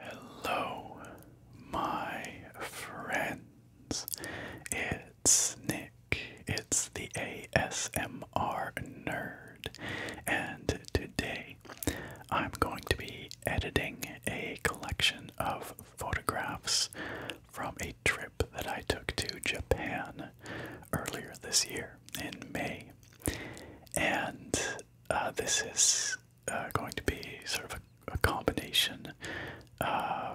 Hello, my friends. It's Nick. It's the ASMR nerd and today I'm going to be editing a collection of photographs from a trip that I took to Japan earlier this year in May. And uh, this is uh, going to be sort of a, combination uh,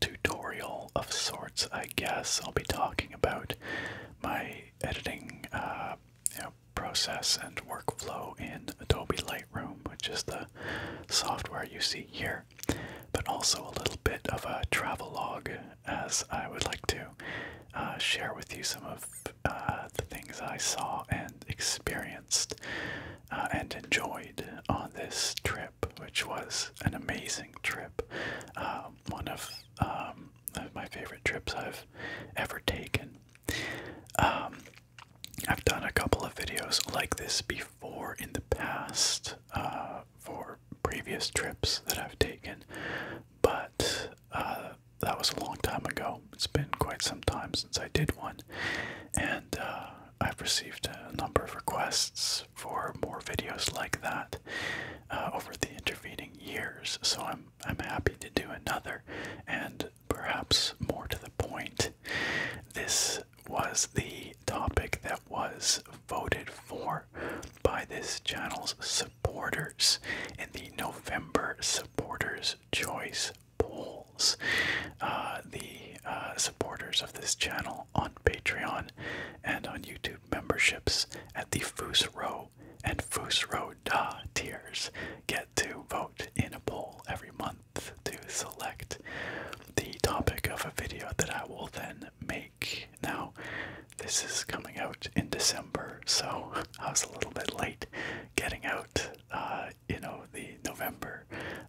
tutorial of sorts, I guess. I'll be talking about my editing process and workflow in Adobe Lightroom, which is the software you see here, but also a little bit of a travel log as I would like to uh, share with you some of uh, the things I saw and experienced uh, and enjoyed on this trip, which was an amazing trip. one um, of my favorite trips I've ever taken. Um, I've done a couple of videos like this before in the past uh, for previous trips that I've taken, but uh, that was a long time ago. It's been quite some time since I did one, and uh, I've received a number of requests for more videos like that over the intervening years. So I'm I'm happy to do another, and perhaps more to the point, this was the topic that was voted for by this channel's supporters in the November Supporters' Choice polls. Uh, the uh, supporters of this channel on Patreon and on YouTube memberships at the Foose Row and Fusro Da tiers get to vote in a poll every month to select the topic of a video that I will then make. Now, this is coming out in December, so I was a little bit late getting out, uh, you know, the November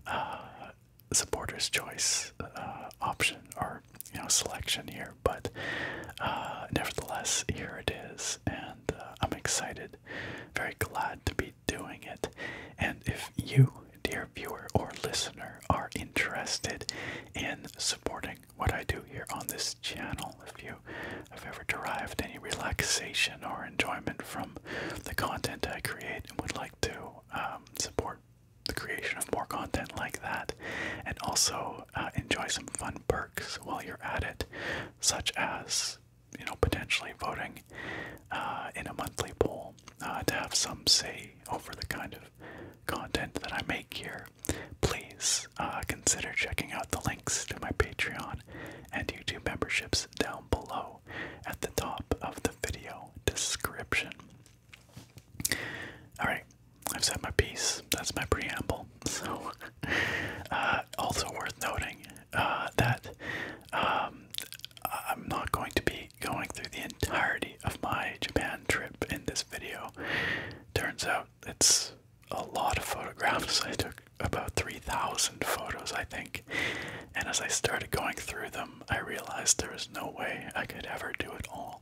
uh, supporters' choice uh, option or you know selection here, but uh, nevertheless, here it is, and I'm excited very glad to be doing it. And if you, dear viewer or listener, are interested in supporting what I do here on this channel, if you have ever derived any relaxation or enjoyment from the content I create and would like to um, support the creation of more content like that, and also uh, enjoy some fun perks while you're at it, such as you know, potentially voting uh, in a monthly poll uh, to have some say over the kind of content that I make here, please uh, consider checking out the links to my Patreon and YouTube memberships down below at the top of the video description. Alright, I've said my piece. That's my preamble. So, also worth noting uh, that um, I'm not going to be going through the entirety of my Japan trip in this video. Turns out it's a lot of photographs. I took about 3,000 photos, I think. And as I started going through them, I realized there was no way I could ever do it all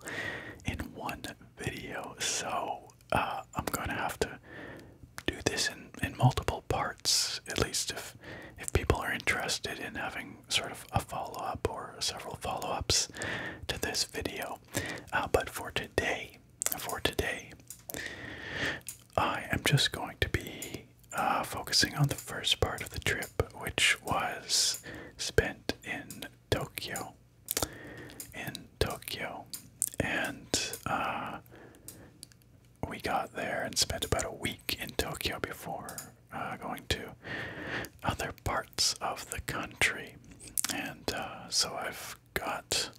in one video. So uh, I'm going to have to do this in, in multiple parts, at least if if people are interested in having sort of a follow-up or several follow-ups to this video. Uh, but for today, for today, I am just going to be uh, focusing on the first part of the trip, which was spent in Tokyo, in Tokyo, and uh, we got there and spent about a week in Tokyo before uh, going to other parts of the country. And uh, so I've got,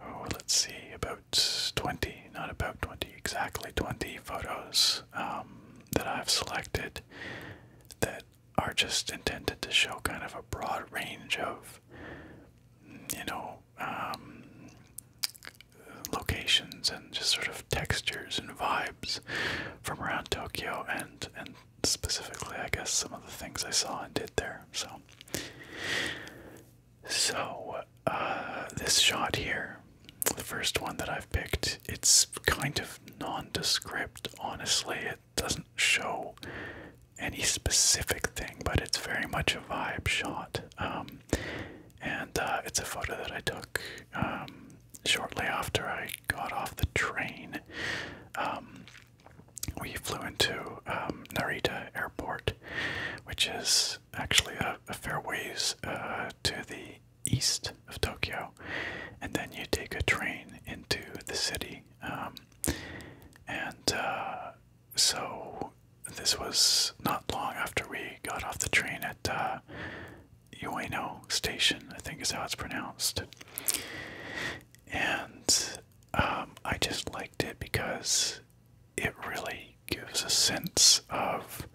oh, let's see, about 20, not about 20, exactly 20 photos um, that I've selected that are just intended to show kind of a broad range of, you know, um, locations and just sort of textures and vibes from around Tokyo and and specifically I guess some of the things I saw and did there. So so uh, this shot here, the first one that I've picked, it's kind of nondescript. Honestly, it doesn't show any specific thing, but it's very much a vibe shot. Um, and uh, it's a photo that I took um, shortly after I got off the train. Um, we flew into Narita Airport, which is actually a, fair ways uh, to the east of Tokyo, and then you take a train into the city. and uh, so this was not long after we got off the train at uh, Ueno Station, I think is how it's pronounced. And um, I just liked it because it really gives a sense of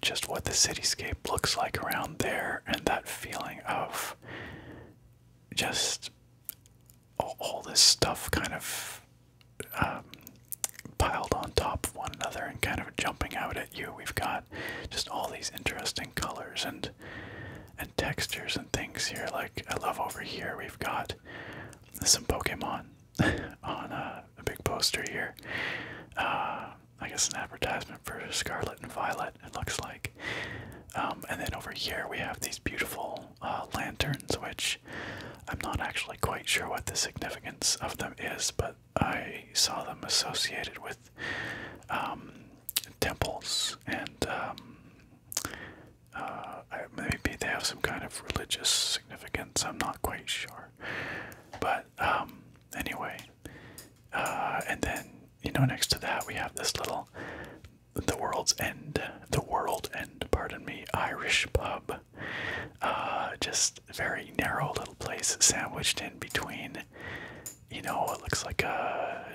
just what the cityscape looks like around there and that feeling of just all, this stuff kind of um, piled on top of one another and kind of jumping out at you. We've got just all these interesting colors and and textures and things here. Like I love over here, we've got some Pokemon on uh, a, big poster here. Uh, I guess an advertisement for Scarlet and Violet. It looks like. Um, and then over here we have these beautiful uh, lanterns, which I'm not actually quite sure what the significance of them is, but I saw them associated with um, temples and um, uh, maybe they have some kind of religious significance. I'm not quite sure, but um, anyway, uh, and then you know next to that we have this little the world's end, the world end, pardon me, Irish pub. Uh, just very narrow little place, sandwiched in between, you know, it looks like a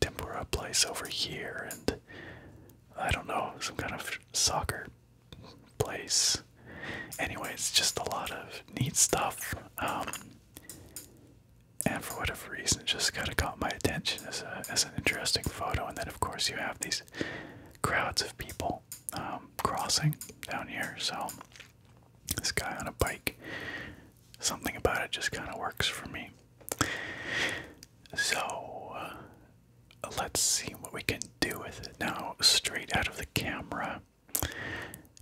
tempura place over here, and I don't know, some kind of soccer place. Anyways, just a lot of neat stuff. Um, and for whatever reason, just kind of caught my attention as, as an interesting photo, and then of course, you have these crowds of people um, crossing down here. So, this guy on a bike, something about it just kind of works for me. So, uh, let's see what we can do with it. Now, straight out of the camera,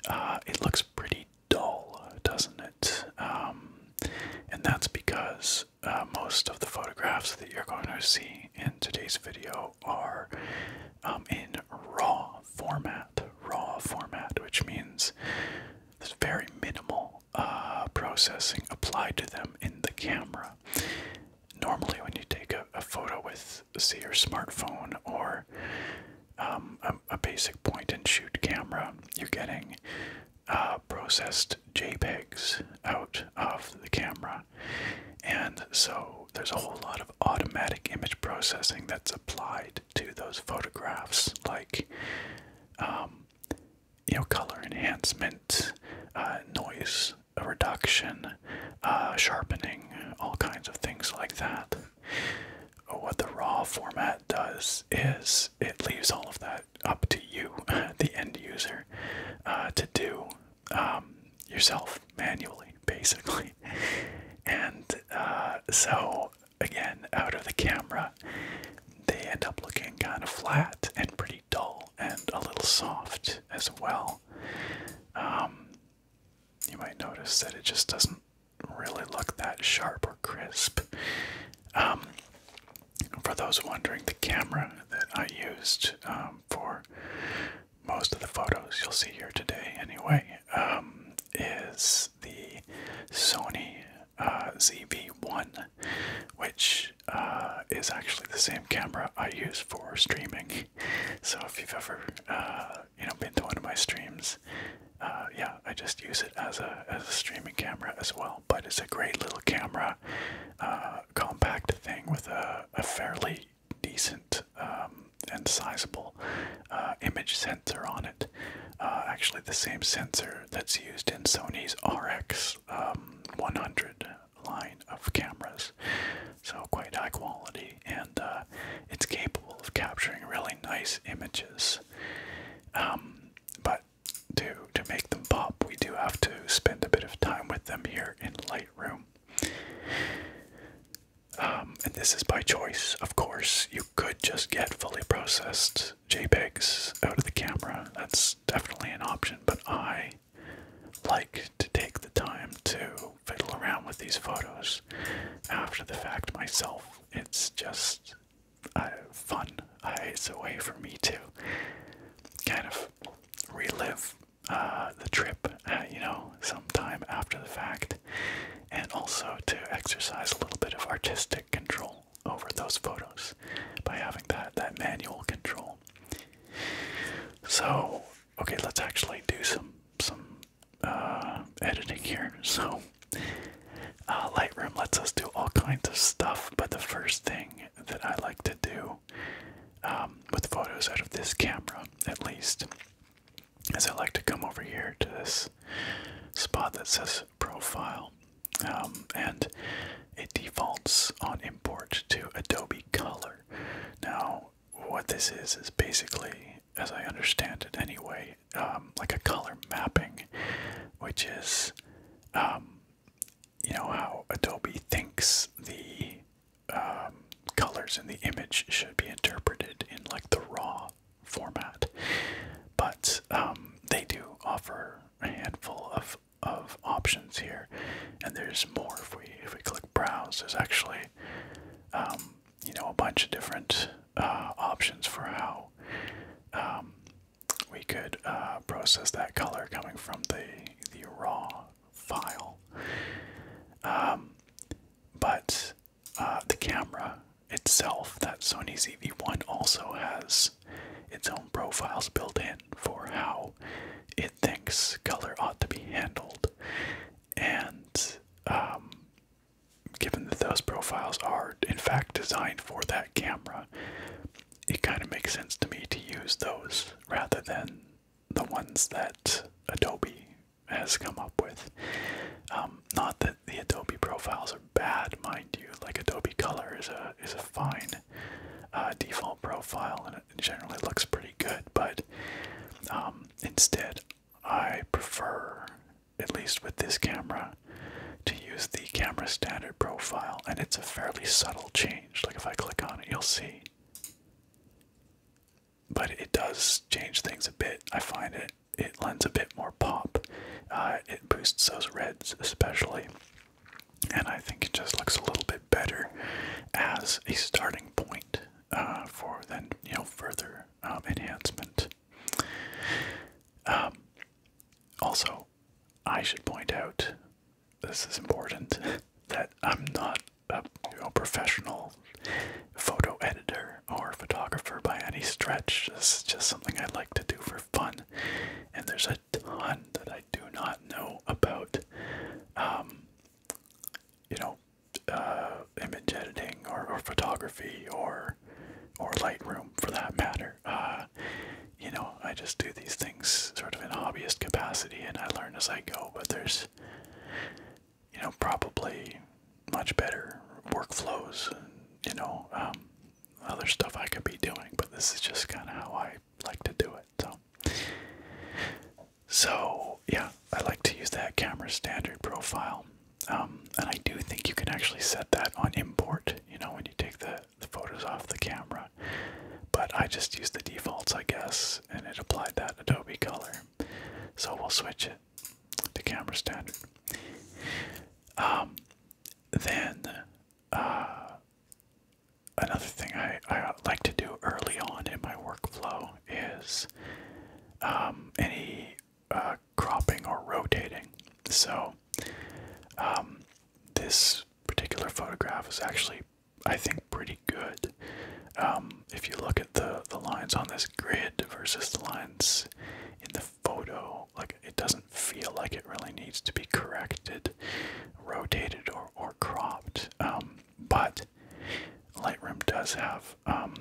uh, it looks pretty dull, doesn't it? Um, and that's because uh, most of the photographs that you're going to see in today's video are um, in raw format, raw format, which means there's very minimal uh, processing applied to them in the camera. Normally, when you take a, photo with, say, your smartphone or um, a basic point and shoot camera, you're getting uh, processed JPEGs out of the camera. And so there's a whole lot of automatic image processing that's applied to those photographs, like um, you know, color enhancement, uh, noise reduction, uh, sharpening, all kinds of things like that. What the RAW format does is it leaves all of that up to you, the end user, uh, to do um, yourself manually, basically. And uh, so, again, out of the camera, they end up looking kind of flat and pretty dull and a little soft as well. Um, you might notice that it just doesn't really look that sharp or crisp. Um, for those wondering, the camera that I used um, for most of the photos you'll see here today, anyway, um, is the Sony uh, ZV1, which uh, is actually the same camera I use for streaming. So if you've ever, uh, you know, been to one of my streams, uh, yeah, I just use it as a as a streaming camera as well. But it's a great little camera uh, compact thing with a, fairly decent um, and sizable uh, image sensor on it. Uh, actually, the same sensor that's used in Sony's RX um, 100 line of cameras. So, quite high quality, and uh, it's capable of capturing really nice images. Um, but to to make them pop, we do have to spend a bit of time with them here in Lightroom. Um, and this is by choice, of course. You could just get fully processed JPEGs out of the camera. That's definitely an option, but I like to take the time to fiddle around with these photos after the fact myself. It's just uh, fun it's a way for me to kind of relive uh, the trip, uh, you know, sometime after the fact, and also to exercise a little bit of artistic control over those photos by having that that manual control. So, okay, let's actually do some some uh, editing here. So, Lightroom lets us do all kinds of stuff, but the first thing that I like to do um, with photos out of this camera, at least, is I like to come over here to this spot that says profile, um, and it defaults on import to Adobe Color. Now, what this is is basically, as I understand it anyway, um, like a color mapping, which is you know how Adobe thinks the um, colors in the image should be interpreted in like the raw format, but um, they do offer a handful of of options here, and there's more if we if we click browse. There's actually um, you know a bunch of different uh, options for how we could uh, process that color coming from the the raw file. Um, but uh, the camera itself, that Sony ZV1, also has its own profiles built in for how it thinks color ought to be handled. And um, given that those profiles are, in fact, designed for that camera, it kind of makes sense to me to use those rather than the ones that Adobe has come up with. Um, not that the Adobe profiles are bad, mind you. Like Adobe Color is a is a fine uh, default profile, and it generally looks pretty good. But um, instead, I prefer, at least with this camera, to use the camera standard profile, and it's a fairly subtle change. Like if I click on it, you'll see. But it does change things a bit. I find it it lends a bit more pop. Uh, it boosts those reds especially, and I think it just looks a little bit better as a starting point uh, for then you know further um, enhancement. Um, also, I should point out this is important that I'm not a professional photo editor or photographer by any stretch. This is just something I like to do for fun, and there's a ton that I do not know about. Um, you know, uh, image editing or, or photography or or Lightroom for that matter. Uh, you know, I just do these things sort of in hobbyist capacity and I learn as I go, but there's, you know, probably much better workflows and, you know, um, other stuff I could be doing, but this is just kind of how I like to do it. So, so yeah, I like to use that camera standard profile. Um, and I do think you can actually set that on import. You know, when you take the the photos off the camera. But I just used the defaults, I guess, and it applied that Adobe color. So we'll switch it to camera standard. Um, then uh, another thing I, I like to do early on in my workflow is um, any uh, cropping or rotating. So um, this particular photograph is actually I think, pretty good. Um, if you look at the the lines on this grid versus the lines in the photo, like it doesn't feel like it really needs to be corrected, rotated, or or cropped. Um, but Lightroom does have um,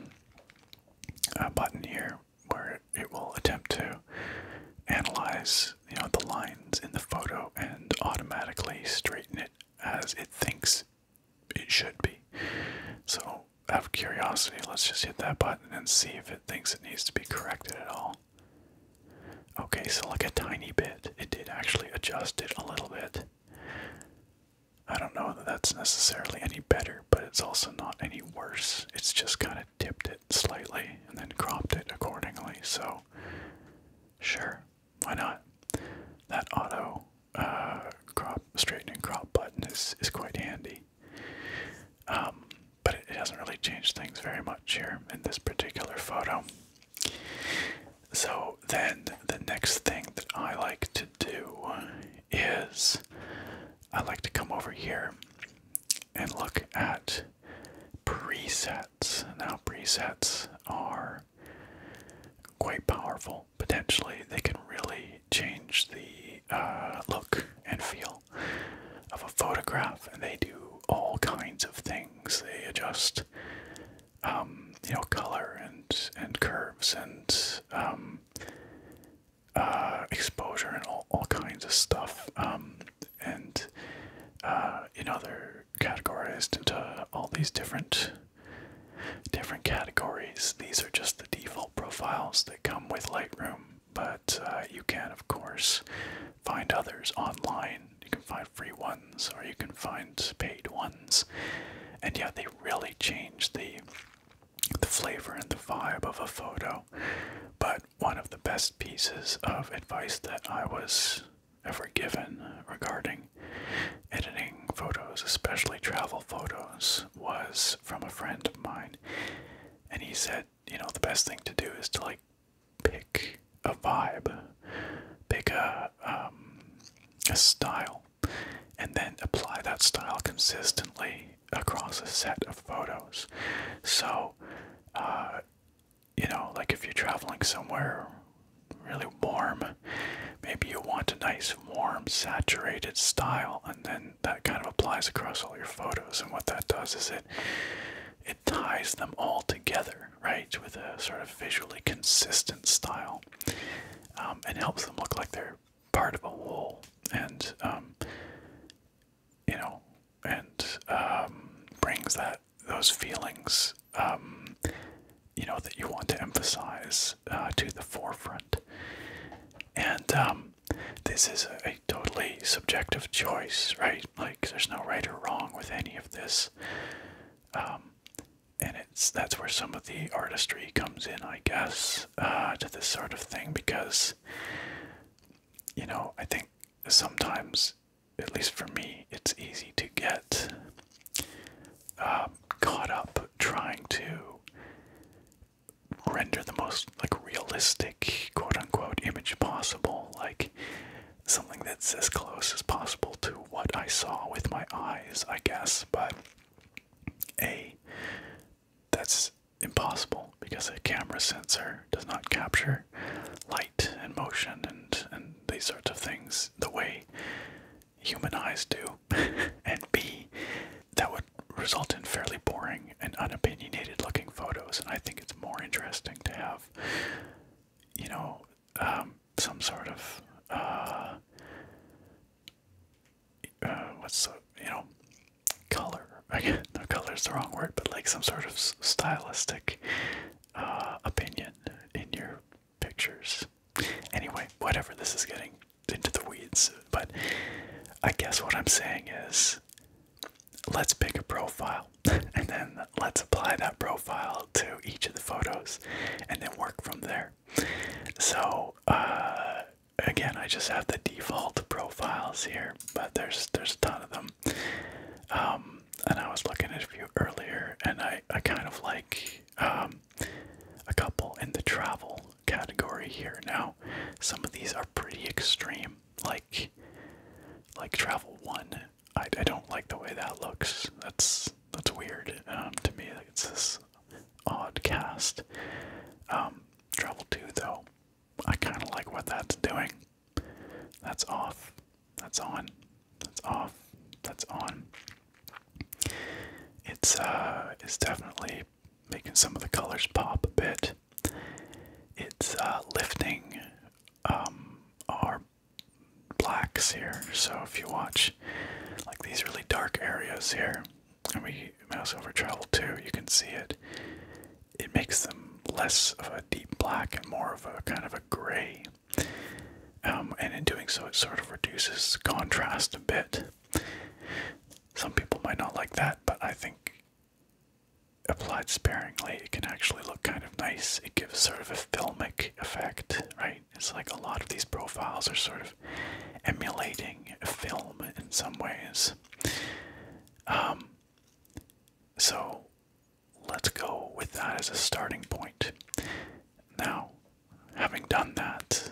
a button here where it will attempt to analyze you know the lines in the photo and automatically straighten it as it thinks it should be. So out of curiosity, let's just hit that button and see if it thinks it needs to be corrected at all. Okay, so like a tiny bit, it did actually adjust it a little bit. I don't know that that's necessarily any better, but it's also not any worse. It's just kind of tipped it slightly and then cropped it accordingly. So Sure, why not? That auto uh, crop straightening crop button is is quite handy. Um, but it, it hasn't really changed things very much here in this particular photo. So then the next thing that I like to do is I like to come over here and look at preset now, presets are quite powerful. Potentially, they can really change the uh, look and feel of a photograph, and they do all kinds of things. They adjust, um, you know, color and and curves and um, uh, exposure and all all kinds of stuff. Um, and uh, in other categorized into all these different different categories. These are just the default profiles that come with Lightroom, but uh, you can of course find others online. You can find free ones or you can find paid ones. And yeah, they really change the the flavor and the vibe of a photo. But one of the best pieces of advice that I was ever given regarding editing photos, especially travel photos, was from a friend of mine. And he said, you know, the best thing to do is to like pick a vibe, pick a, um, style, and then apply that style consistently across a set of photos. So, uh, you know, like if you're traveling somewhere really warm, maybe you want a nice, warm, saturated style, and then that kind of applies across all your photos. And what that does is it it ties them all together, right, with a sort of visually consistent style, um, and helps them look like they're part of a whole. And um, you know, and um, brings that those feelings, um, you know, that you want to emphasize uh, to the forefront. And um, this is a, totally subjective choice, right? Like, there's no right or wrong with any of this. Um, and it's that's where some of the artistry comes in, I guess, uh, to this sort of thing because, you know, I think sometimes at least for me, it's easy to get um, caught up trying to render the most like realistic quote unquote image possible, like something that's as close as possible to what I saw with my eyes, I guess, but a that's impossible because a camera sensor does not capture light and motion and and these sorts of things the way human eyes do, and B, that would result in fairly boring and unopinionated looking photos. And I think it's more interesting to have, you know, um, some sort of, uh, uh, what's the, you know, color. Again, no, color is the wrong word, but like some sort of stylistic uh, opinion in your pictures. Anyway, whatever, this is getting into the weeds, but I guess what I'm saying is let's pick a profile and then let's apply that profile to each of the photos and then work from there. So, uh, again, I just have the default profiles here, but there's there's a ton of them. Um, and I was looking at a few earlier, and I, I kind of like um, a couple in the travel category here. Now, some of these are pretty extreme, like like travel one. I, I don't like the way that looks. That's that's weird um, to me. it's this odd cast. Um, travel two though. I kind of like what that's doing. That's off. That's on. That's off. That's on. It's uh it's definitely making some of the colors pop a bit. It's uh, lifting um our blacks here. So if you watch like these really dark areas here, and we mouse over travel too, you can see it. It makes them less of a deep black and more of a kind of a gray um, and in doing so, it sort of reduces contrast a bit. Some people might not like that, but I think applied sparingly, it can actually look kind of nice. It gives sort of a filmic effect, right? It's like a lot of these profiles are sort of emulating film in some ways. Um, so let's go with that as a starting point. Now, having done that,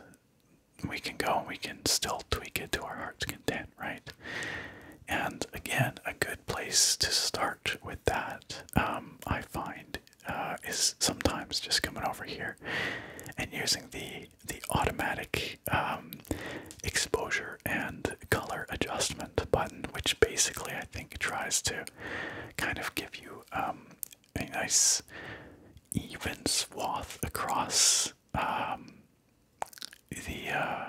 we can go and we can still tweak it to our heart's content, right? And again, a good place to start with that, um, I find, uh, is sometimes just coming over here and using the the automatic um, exposure and color adjustment button, which basically I think tries to kind of give you um, a nice even swath across um, the uh,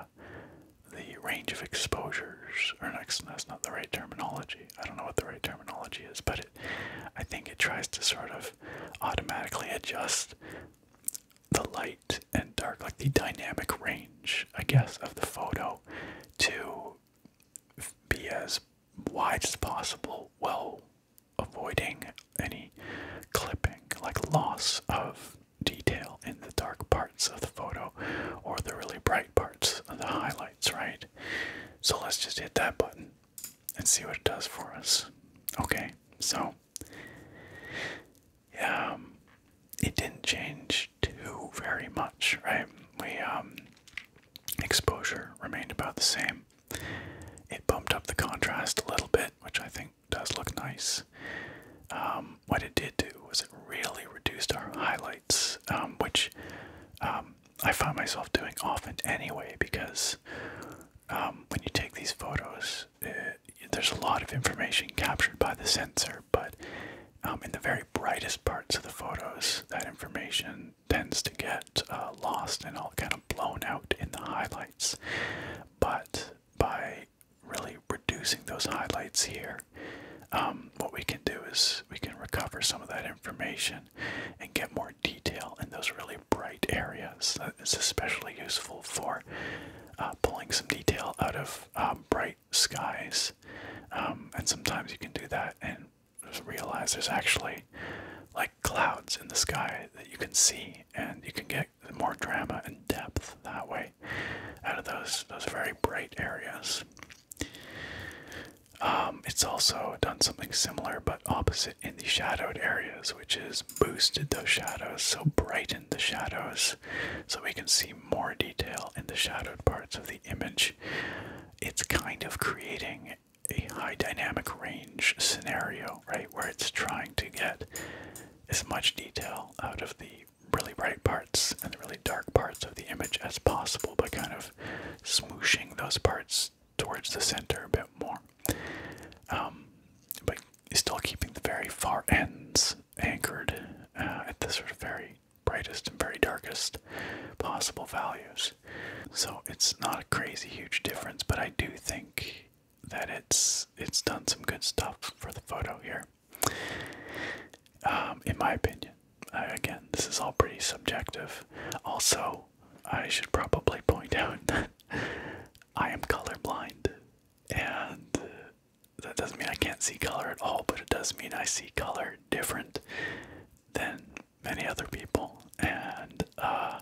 the range of exposures. Or next, that's not the right terminology. I don't know what the right terminology is, but I think it tries to sort of automatically adjust the light and dark, like the dynamic range, I guess, of the photo to be as wide as possible while avoiding any clipping, like loss of detail in the dark parts of the photo or the really bright parts of the highlights, right? So let's just hit that button and see what it does for us. Okay, so um, it didn't change much very much, right? We um, exposure remained about the same. It bumped up the contrast a little bit, which I think does look nice. Um, what it did do was it really reduced our highlights, um, which um, I find myself doing often anyway because when you take these photos, uh, there's a lot of information captured by the sensor, but um, in the very brightest parts of the photos, that information tends to get uh, lost and all kind of blown out in the highlights. But by really reducing those highlights here, um, what we can do is we can recover some of that information and get more detail in those really bright areas. It's especially useful for uh, pulling some detail out of um, bright skies. Um, and sometimes you can do that and realize there's actually like clouds in the sky that you can see, and you can get more drama and depth that way out of those those very bright areas. Um, it's also done something similar but opposite in the shadowed areas, which is boosted those shadows, so brightened the shadows, so we can see more detail in the shadowed parts of the image it's kind of creating a high dynamic range scenario, right? Where it's trying to get as much detail out of the really bright parts and the really dark parts of the image as possible, but kind of smooshing those parts towards the center a bit more. Um, but still keeping the very far ends anchored uh, at the sort of very brightest and very darkest possible values. So it's not a crazy huge difference, but I do think that it's it's done some good stuff for the photo here. Um, in my opinion, again, this is all pretty subjective. Also, I should probably point out that I am colorblind, and that doesn't mean I can't see color at all, but it does mean I see color different than many other people, and uh,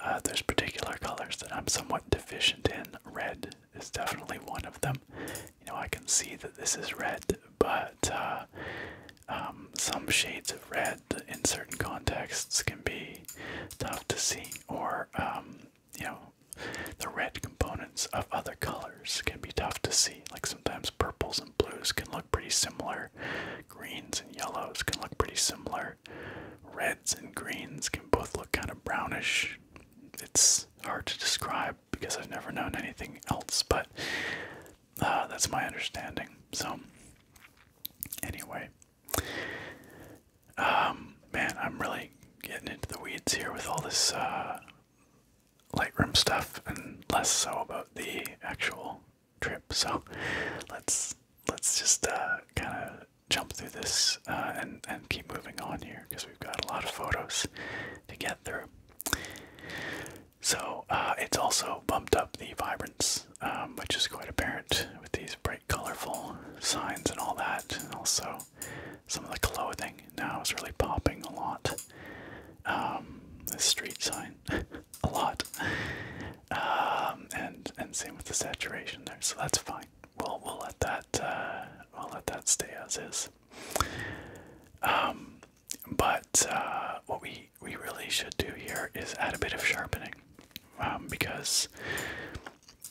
uh, there's particular colors that I'm somewhat deficient in. Red is definitely one of them. You know, I can see that this is red, but uh, um, some shades of red in certain contexts can be tough to see, or um, you know, the red components of other colors can be tough to see. Like sometimes sometimes purples and blues can look pretty similar. Greens and yellows can look pretty similar. Reds and greens can both look kind of brownish. It's hard to describe because I've never known anything else, but uh, that's my understanding. So, anyway, um, man, I'm really getting into the weeds here with all this uh, Lightroom stuff and less so about the actual trip. So let's let's just uh, kind of jump through this uh, and and keep moving on here because we've got a lot of photos to get through. So uh, it's also bumped up the vibrance, um, which is quite apparent with these bright, colorful signs and all that, also some of the clothing now is really popping a lot. Um, the street sign a lot, um, and and same with the saturation there. So that's fine. We'll we'll let that uh, we'll let that stay as is. Um, but uh, what we we really should do here is add a bit of sharpening, because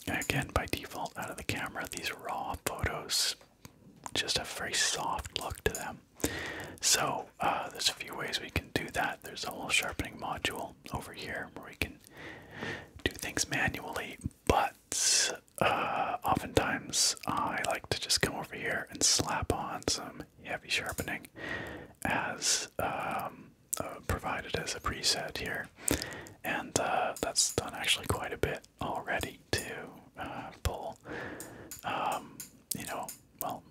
again by default out of the camera these raw photos just a very soft look to them. So uh, there's a few ways we can do that. There's a little sharpening module over here where we can do things manually, but uh, oftentimes I like to just come over here and slap on some heavy sharpening as um, uh, provided as a preset here, and that's done actually quite a bit already to uh, pull, um, you know, well,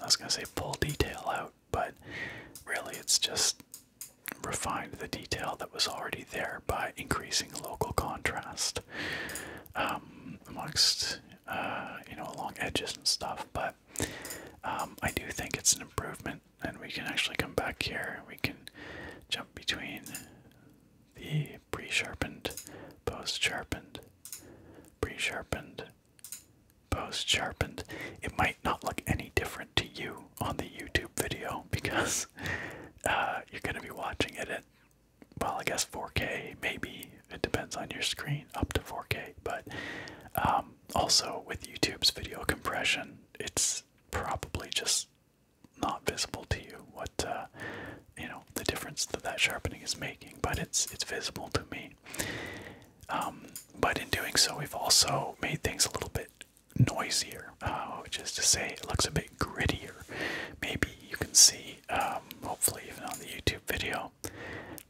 I was going to say pull detail out, but really it's just refined the detail that was already there by increasing local contrast um, amongst, uh, you know, along edges and stuff. But um, I do think it's an improvement, and we can actually come back here. We can jump between the pre sharpened, post sharpened, pre sharpened, post sharpened. It might not look any different to you on the YouTube video because uh, you're going to be watching it at, well, I guess 4K, maybe. It depends on your screen, up to 4K. But um, also with YouTube's video compression, it's probably just not visible to you what uh, you know the difference that that sharpening is making, but it's it's visible to me. Um, but in doing so, we've also made things a little bit noisier, uh, which is to say, it looks a bit grittier. Maybe you can see, um, hopefully, even on the YouTube video,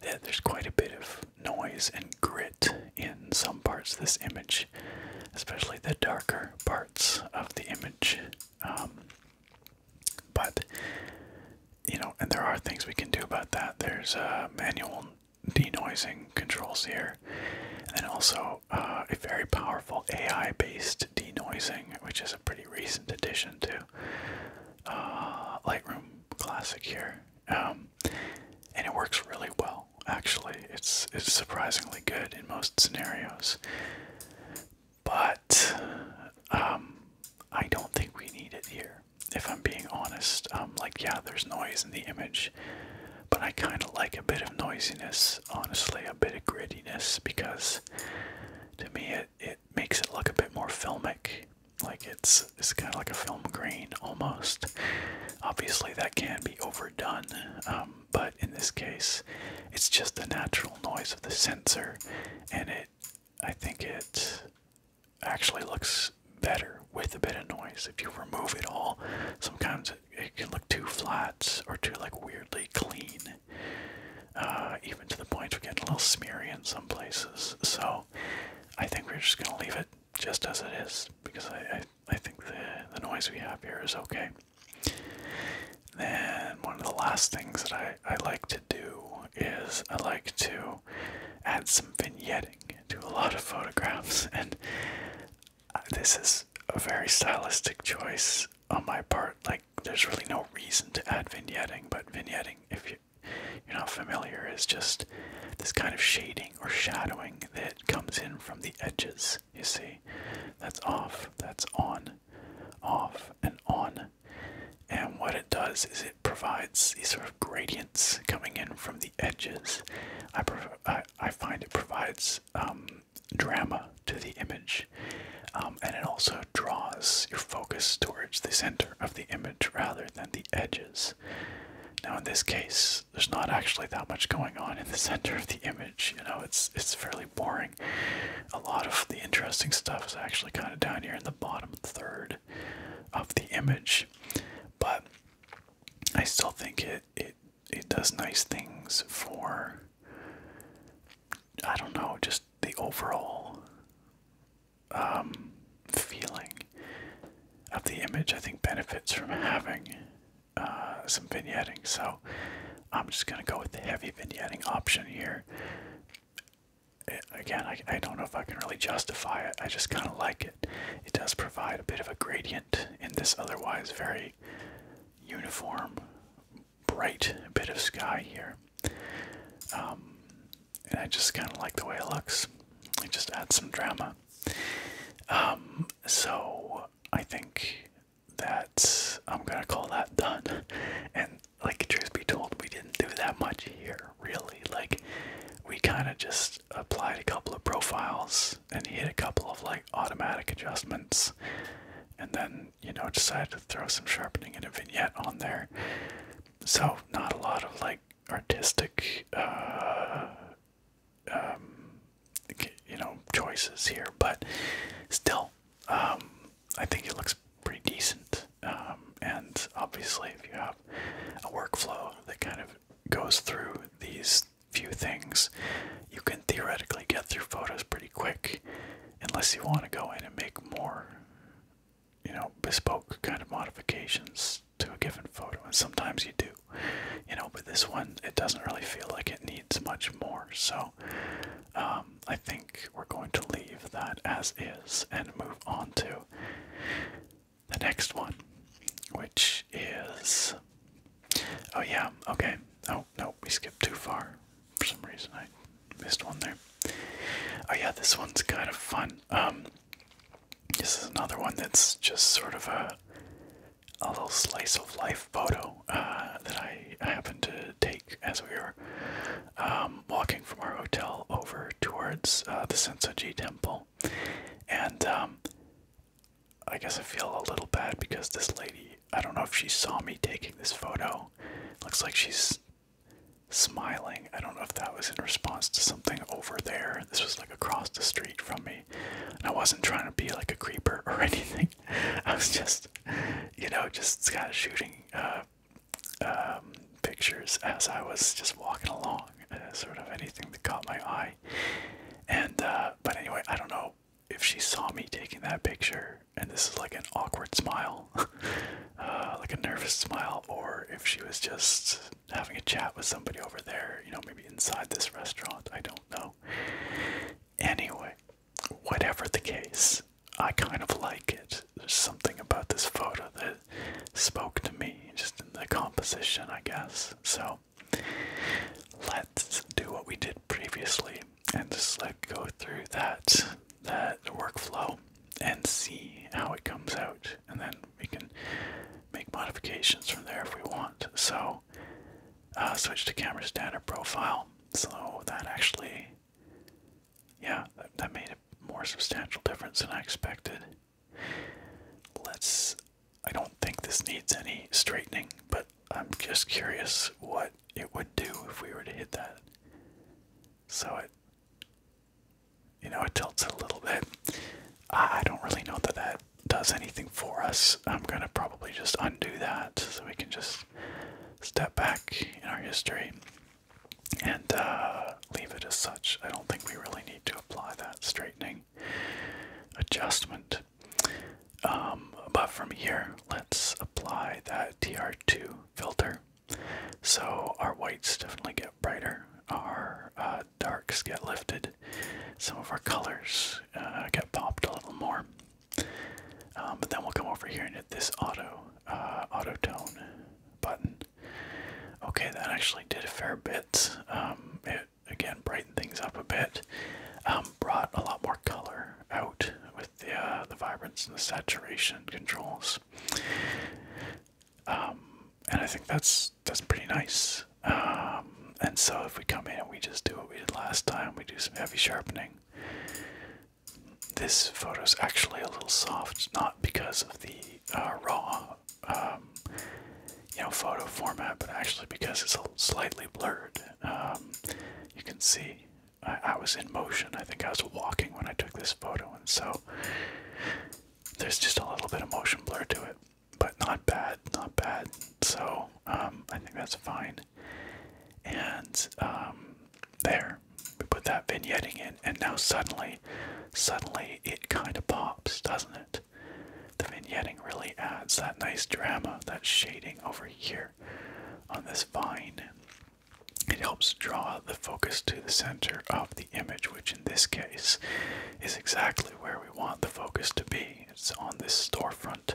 that there's quite a bit of noise and grit in some parts of this image, especially the darker parts of the image. Um, but you know, and there are things we can do about that. There's uh, manual denoising controls here, and also uh, a very powerful AI-based denoising, which is a pretty recent addition to uh, Lightroom Classic here, um, and it works really well. Actually, it's it's surprisingly good in most scenarios but um, I don't think we need it here. If I'm being honest, um, like yeah, there's noise in the image, but I kind of like a bit of noisiness, honestly, a bit of grittiness, because to me it it makes it look a bit more filmic. Like it's it's kind of like a film grain almost. Obviously, that can be overdone, um, but in this case, it's just the natural noise of the sensor, and it I think it actually looks better with a bit of noise. If you remove it all, sometimes it, can look too flat or too like weirdly clean. Uh, even to the point of getting a little smeary in some places. So I think we're just gonna leave it just as it is because I I, I think the the noise we have here is okay. Then one of the last things that I, I like to do is I like to add some vignetting to a lot of photographs, and uh, this is a very stylistic choice on my part. Like, there's really no reason to add vignetting, but vignetting, if you you're not familiar, is just this kind of shading or shadowing that comes in from the edges. You see, that's off, that's on, off, and on. And what it does is it provides these sort of gradients coming in from the edges. I, I, I find it provides um, drama to the image. Um, and it also draws your focus towards the center of the image rather than the edges. Now, in this case, there's not actually that much going on in the center of the image. You know, it's it's fairly boring. A lot of the interesting stuff is actually kind of down here in the bottom third of the image, but I still think it it it does nice things for I don't know just the overall um, feeling of the image. I think benefits from having uh, some vignetting, so I'm just gonna go with the heavy vignetting option here again, I, I don't know if I can really justify it. I just kind of like it. It does provide a bit of a gradient in this otherwise very uniform, bright bit of sky here. Um, and I just kind of like the way it looks. It just adds some drama. Um, so I think that I'm gonna call that done. And like truth be told, we didn't do that much here, really. Like we kind of just applied a couple of profiles and hit a couple of like automatic adjustments and then, you know, decided to throw some sharpening and a vignette on there. So not a lot of like artistic uh um you know choices here, but still um I think it looks pretty decent. Um, and obviously, if you have a workflow that kind of goes through these few things, you can theoretically get through photos pretty quick, unless you want to go in and make more, you know, bespoke kind of modifications to a given photo. And sometimes you do, you know, but this one, it doesn't really feel like it needs much more. So um, I think we're going to leave that as is and move on to the next one, which is. Oh, yeah, okay. Oh, no, we skipped too far. For some reason, I missed one there. Oh, yeah, this one's kind of fun. Um, this is another one that's just sort of a. A little slice of life photo uh, that I happen to take as we were um, walking from our hotel over towards uh, the Sensoji Temple. And um, I guess I feel a little bad because this lady, I don't know if she saw me taking this photo. Looks like she's smiling. I don't know if that was in response to something over there. This was like across the street from me. And I wasn't trying to be like a creeper or anything. I was just, you know, just kind of shooting uh, um, pictures as I was just walking along, uh, sort of anything that caught my eye. And uh, but anyway, I don't know if she saw me taking that picture, and this is like an awkward smile, uh, like a nervous smile, or if she was just having a chat with somebody over there, you know, maybe inside this restaurant. I don't know. Anyway, whatever the case, I kind of like it. There's something about this photo that spoke to me, just in the composition, I guess. So let's do what we did previously and just like go through that that workflow and see how it comes out and then we can make modifications from there if we want so uh, switch to camera standard profile so that actually yeah, that, made a more substantial difference than I expected. Let's. I don't think this needs any straightening, but I'm just curious what it would do if we were to hit that. So it. You know, it tilts a little bit. I don't really know that that does anything for us. I'm gonna probably just undo that so we can just step back in our history and uh, leave it as such. I don't think we really need to apply that straightening adjustment. Um, but from here, let's apply that TR2 filter. So our whites definitely get brighter, our uh, darks get lifted, some of our colors uh, get popped a little more. Um, but then we'll come over here and hit this auto uh, auto tone button. Okay, that actually did a fair bit. Um, it again brightened things up a bit. Um, brought a lot more color out with the uh, the vibrance and the saturation controls. Um, and I think that's that's pretty nice. and so if we come in and we just do what we did last time, we do some heavy sharpening this photo is actually a little soft, not because of the uh, raw, um, you know, photo format, but actually because it's slightly blurred. Um, you can see I, was in motion. I think I was walking when I took this photo, and so there's just a little bit of motion blur to it, but not bad, not bad. So um, I think that's fine. And there, we put that vignetting in, and now suddenly, suddenly it kind of pops, doesn't it? The vignetting really adds that nice drama, that shading over here on this vine. It helps draw the focus to the center of the image, which in this case is exactly where we want the focus to be. It's on this storefront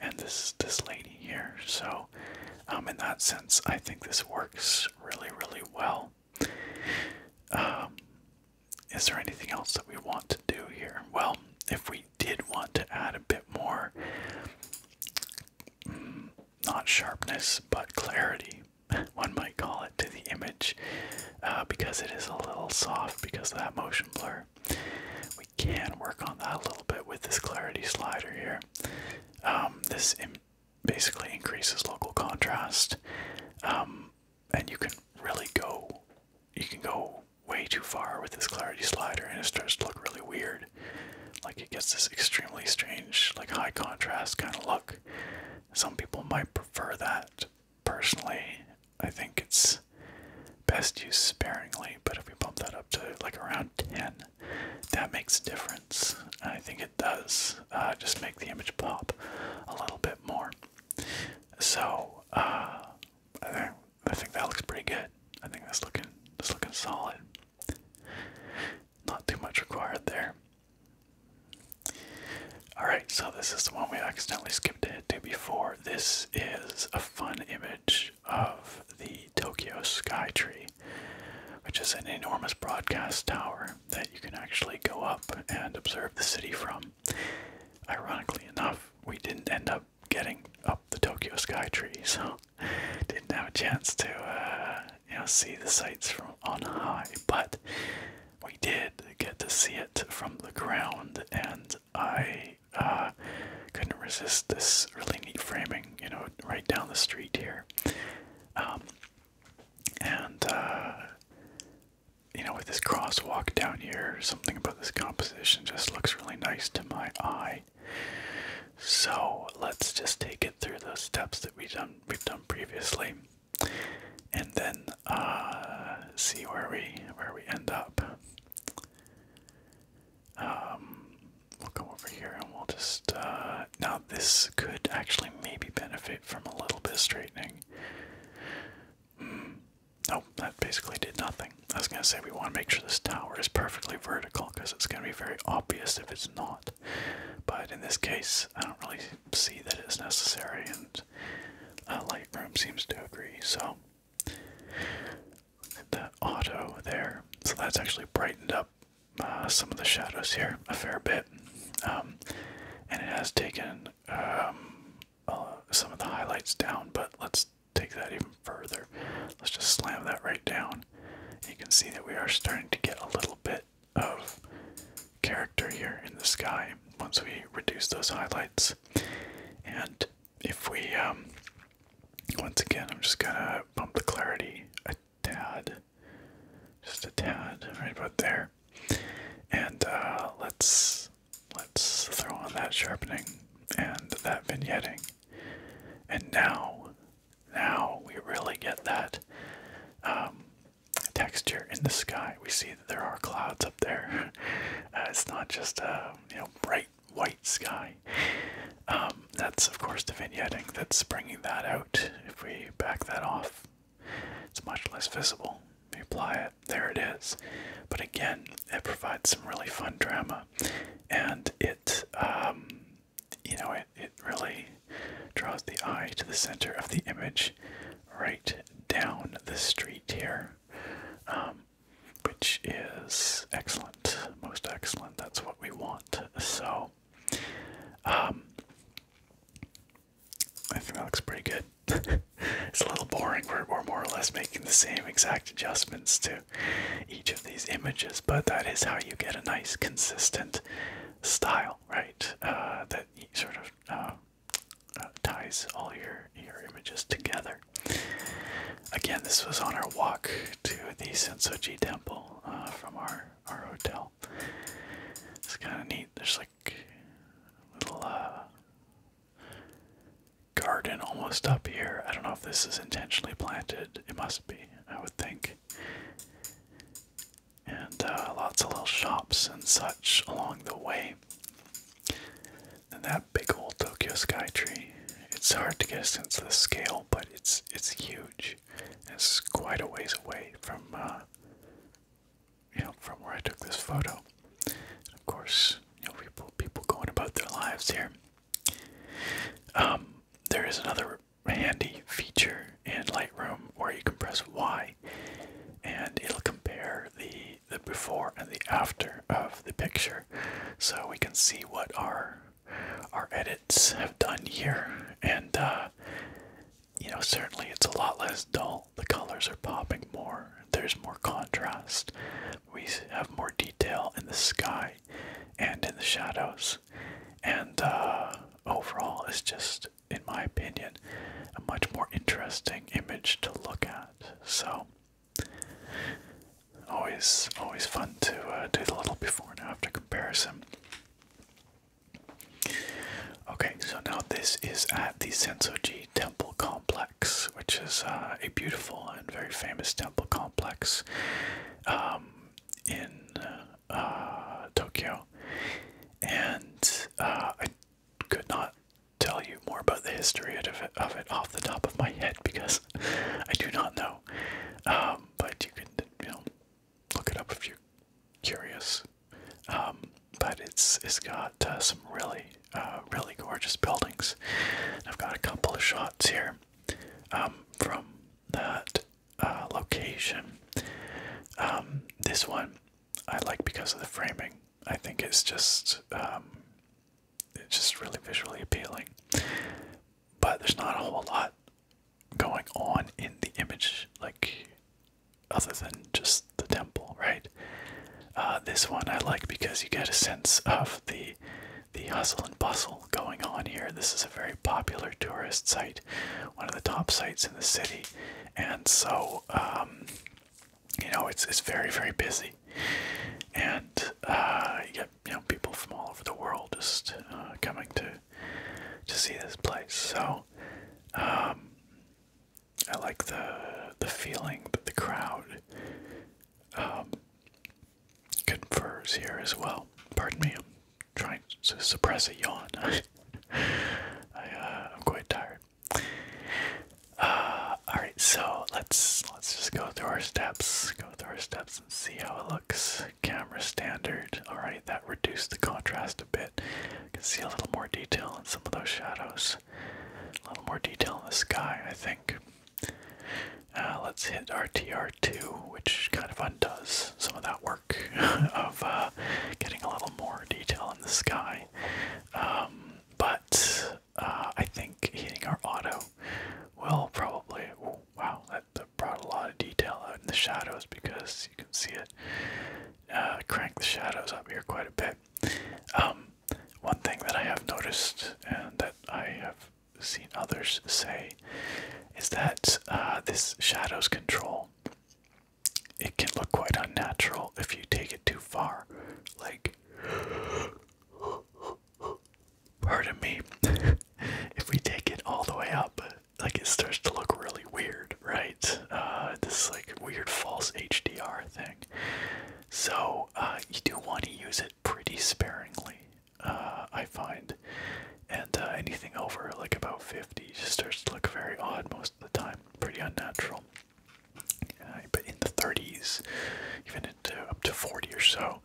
and this this lady here. So um, in that sense, I think this works really, really well. Um, is there anything else that we want to do here? Well, if we did want to add a bit more, mm, not sharpness, but clarity, one might call it, to the image, uh, because it is a little soft because of that motion blur, we can work on that a little bit with this clarity slider here. Um, this basically increases local contrast. Um, and you can really go, you can go way too far with this clarity slider and it starts to look really weird. Like it gets this extremely strange, like high contrast kind of look. Some people might prefer that. Personally, I think it's best used sparingly, but if we bump that up to like around 10, that makes a difference. I think it does uh, just make the image pop a little bit more. So uh, I, think, that looks pretty good. I think that's looking that's looking solid. Not too much required there. Alright, so this is the one we accidentally skipped ahead to before. This is a fun image of the Tokyo Skytree, which is an enormous broadcast tower that you can actually go up and observe the city from. Ironically enough, we didn't end up getting up the Tokyo Skytree, so didn't have a chance to uh, you know see the sights from on high, but we did get to see it from the ground, and I uh, couldn't resist this really neat framing, you know, right down the street here. Um, and, uh, you know, with this crosswalk down here, something about this composition just looks really nice to my eye. So let's just take it through the steps that we've done, we've done previously, and then uh, see where we where we end up. Um, we'll go over here and we'll just uh, now this could actually maybe benefit from a little bit of straightening. Hmm. No, that basically did nothing. I was gonna say we want to make sure this tower is perfectly vertical because it's gonna be very obvious if it's not. But in this case, I don't really see that it's necessary, and uh, Lightroom seems to agree. So the auto there, so that's actually brightened up uh, some of the shadows here a fair bit, um, and it has taken um, uh, some of the highlights down. But let's take that even further. Let's just slam that right down. You can see that we are starting to get a little bit of character here in the sky once we reduce those highlights. And if we, um, once again, I'm just gonna bump the clarity a tad just a tad right about there. And uh, let's let's throw on that sharpening and that vignetting. And now, now we really get that um, texture in the sky. We see that there are clouds up there. Uh, it's not just a you know bright white sky. Um, um, that's, of course, the vignetting that's bringing that out. If we back that off, it's much less visible. We apply it, there it is. But again, it provides some really fun drama. And it, um, you know, it, it really draws the eye to the center of the image right down the street here. Um, which is excellent, most excellent. That's what we want. So well. Um, I think that looks pretty good. it's a little boring. We're, we're more or less making the same exact adjustments to each of these images, but that is how you get a nice, consistent style, right? Uh, that sort of uh, uh, ties all your, your images together. Again, this was on our walk to the Sensoji Temple from our our hotel. It's kind of neat. There's like little uh, garden almost up here. I don't know if this is intentionally planted. It must be, I would think. And uh, lots of little shops and such along the way. And that big old Tokyo Sky Tree. It's hard to get a sense of the scale, but it's it's huge. It's quite a ways away from uh, you know from where I took this photo. And of course, you know people people going about their lives here. Um, there is another handy feature in Lightroom where you can press Y, and it'll compare the the before and the after of the picture, so we can see what our our edits have done here, and uh, you know, certainly it's a lot less dull. The colors are popping more, there's more contrast, we have more detail in the sky and in the shadows, and uh, overall, it's just, in my opinion, a much more interesting image to look at. So, always, always fun to uh, do the little before and after comparison. Okay, so now this is at the Sensoji Temple Complex, which is uh, a beautiful and very famous temple complex um, in uh, Tokyo. And uh, I could not tell you more about the history of it, off the top of my head because I do not know. Um, but you can, you look it up if you're curious. Um, but it's it's got uh, some really uh, really gorgeous buildings. I've got a couple of shots here um, from that uh, location. Um, this one I like because of the framing. I think it's just it's just really visually appealing. But there's not a whole lot going on in the image, like other than just the temple, right? Uh, this one I like because you get a sense of the the hustle and bustle going on here. This is a very popular tourist site, one of the top sites in the city, and so um, you know it's it's very very busy, and uh, you get you know people from all over the world just uh, coming to to see this place. So um, I like the the feeling that the crowd um, confers here as well. Pardon me, I'm trying to suppress a yawn. I, am uh, quite tired. Uh, all right, so let's let's just go through our steps. Go through our steps and see how it looks. Camera standard. All right. That reduced the contrast a bit. You can see a little more detail in some of those shadows. A little more detail in the sky, I think. Uh, let's hit RTR2, which kind of undoes some of that work of uh, getting a little more detail in the sky. Um, but uh, I think hitting our auto will probably. Oh, wow, that brought a lot of detail out in the shadows because you can see it uh, crank the shadows up here quite a bit. Um, one thing that I have noticed and that I have seen others say is that uh, this shadows control it can look quite unnatural if you take it too far. Like, pardon me, if we take it all the way up, like it starts to look really weird, right? Uh, this like weird false HDR thing. So uh, you do want to use it pretty sparingly, uh, I find. And uh, anything over like about 50 just starts to look very odd most of the time, pretty unnatural. Uh, but in the 30s, even into up to 40 or so,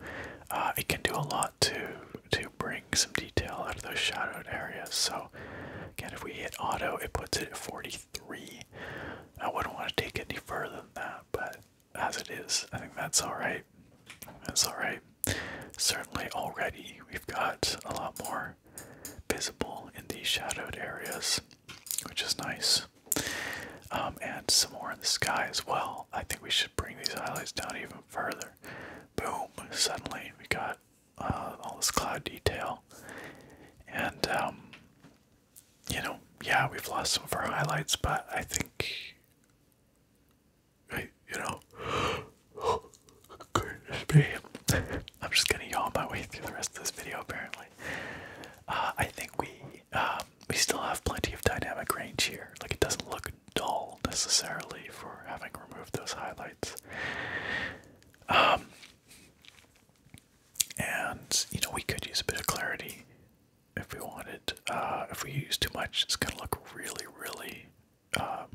uh, it can do a lot to to bring some detail out of those shadowed areas. So again, if we hit auto, it puts it at 43. I wouldn't want to take it any further than that, but as it is, I think that's all right. That's all right. Certainly already we've got a lot more visible in these shadowed areas, which is nice. Um, and some more in the sky as well. I think we should bring these highlights down even further. Boom! Suddenly we got uh, all this cloud detail. And, um, you know, yeah, we've lost some of our highlights, but I think, I, you know, goodness me. I'm just gonna yawn my way through the rest of this video, apparently. Uh, I think we um, we still have plenty of dynamic range here. Like it doesn't look dull necessarily for having removed those highlights. Um, and you know, we could use a bit of clarity if we wanted. Uh, if we use too much, it's gonna look really, really, um,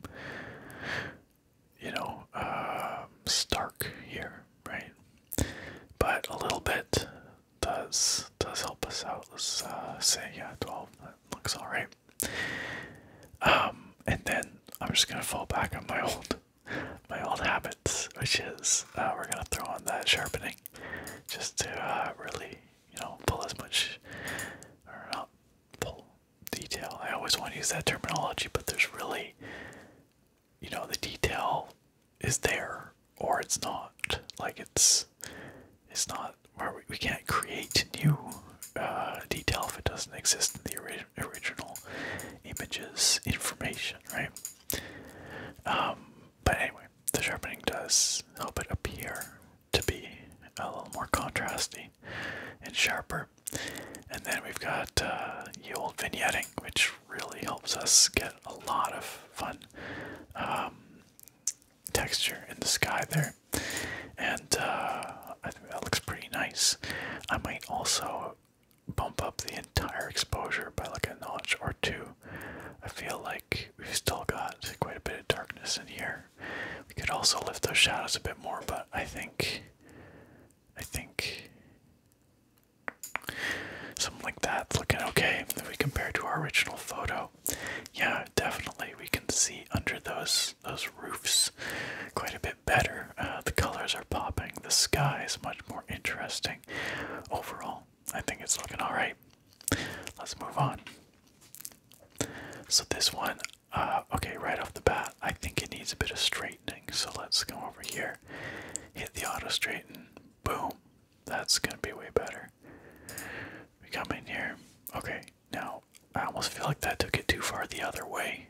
you know, um, stark here, right? But a little bit does does help us out. Let's uh, say yeah, twelve. looks all right. Um, and then I'm just gonna fall back on my old my old habits, which is uh, we're gonna throw on that sharpening just to uh, really you know pull as much or not pull detail. I always want to use that terminology, but there's really you know the detail is there or it's not like it's it's not where we can't create new uh, detail if it doesn't exist in the original images information, right? Um, but anyway, the sharpening does help it appear to be a little more contrasting and sharper. And then we've got uh, the old vignetting, which really helps us get a lot of fun um, texture in the sky there and uh, I think that looks pretty nice. I might also bump up the entire exposure by like a notch or two. I feel like we've still got quite a bit of darkness in here. We could also lift those shadows a bit more, but I think, I think something like that's looking okay if we compare to our original photo. Yeah, definitely we can see under those those those roofs quite a bit better. Uh, the colors are popping. The sky is much more interesting. Overall, I think it's looking all right. Let's move on. So this one, uh, okay, right off the bat, I think it needs a bit of straightening. So let's go over here, hit the auto straighten. Boom, that's gonna be way better. We come in here. Okay, now, I almost feel like that took it too far the other way.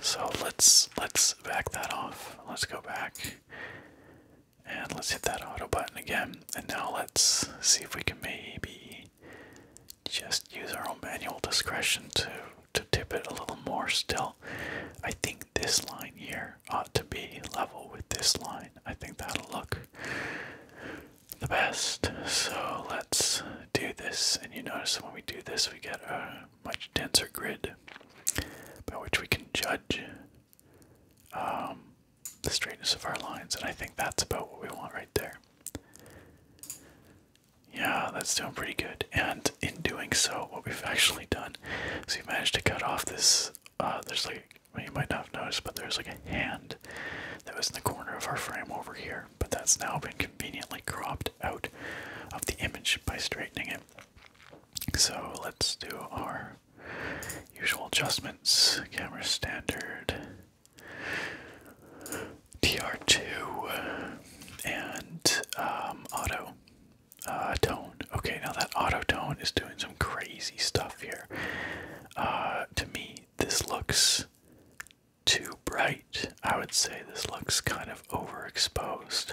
So let's let's back that off. Let's go back and let's hit that auto button again. And now let's see if we can maybe just use our own manual discretion to to tip it a little more still. I think this line here ought to be level with this line. I think that'll look the best. So let's do this. And you notice when we do this, we get a much denser grid by which we can judge um, the straightness of our lines. And I think that's about what we want right there. Yeah, that's doing pretty good. And in doing so, what we've actually done is we managed to cut off this. Uh, there's like, you might not have noticed, but there's like a hand that was in the corner of our frame over here but that's now been conveniently cropped out of the image by straightening it. So let's do our usual adjustments. Camera standard, TR2, and um, auto uh, tone. Okay, now that auto tone is doing some crazy stuff here. Uh, to me, this looks too bright. I would say this looks kind of overexposed.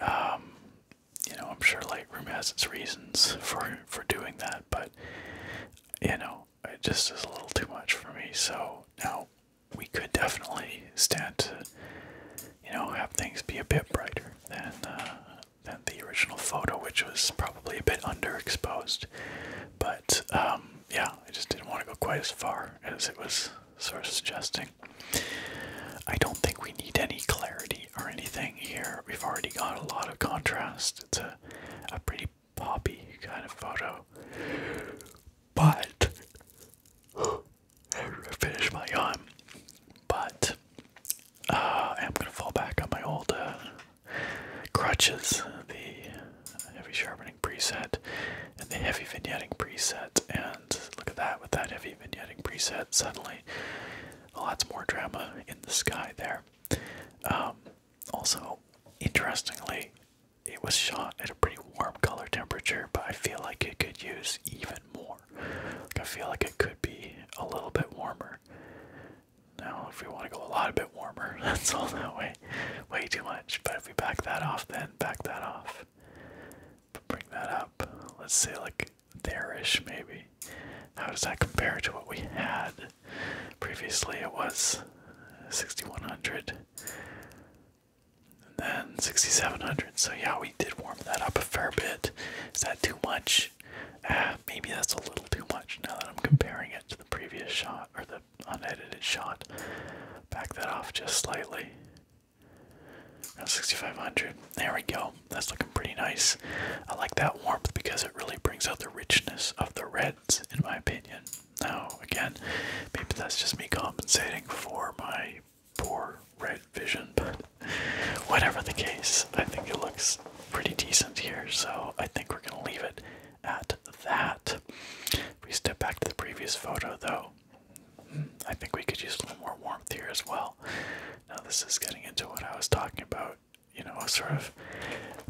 Um, you know, I'm sure Lightroom has its reasons for for doing that, but you know, it just is a little too much for me. So now we could definitely stand to, you know, have things be a bit brighter than uh, than the original photo, which was probably a bit underexposed. But um, yeah, I just didn't want to go quite as far as it was sort of suggesting. I don't think we need any clarity or anything here. We've already got a lot of contrast. It's a, a pretty poppy kind of photo. But, finish my yawn. But, uh, I'm going to fall back on my old uh, crutches, the heavy sharpening preset and the heavy vignetting preset. And look at that, with that heavy vignetting preset, suddenly lots more drama in the sky there. Um, also, interestingly, it was shot at a pretty warm color temperature, but I feel like it could use even more. Like I feel like it could be a little bit warmer. Now, if we want to go a lot warmer. That's all that way. Way too much. But if we back that off then back that off. Bring that up. Let's see, like there-ish maybe. How does that compare to what we had? Previously it was 6100 then 6700. So yeah, we did warm that up a fair bit. Is that too much? Ah, maybe that's a little too much now that I'm comparing it to the previous shot or the unedited shot. Back that off just slightly. 6500. There we go. That's looking pretty nice. I like that warmth because it really brings out the richness of the reds, in my opinion. Now, again, maybe that's just me compensating for my poor red vision, but whatever the case, I think it looks pretty decent here, so I think we're going to leave it at that. If we step back to the previous photo, though, I think we could use a little more warmth here as well. Now, this is getting into what I was talking about you know, sort of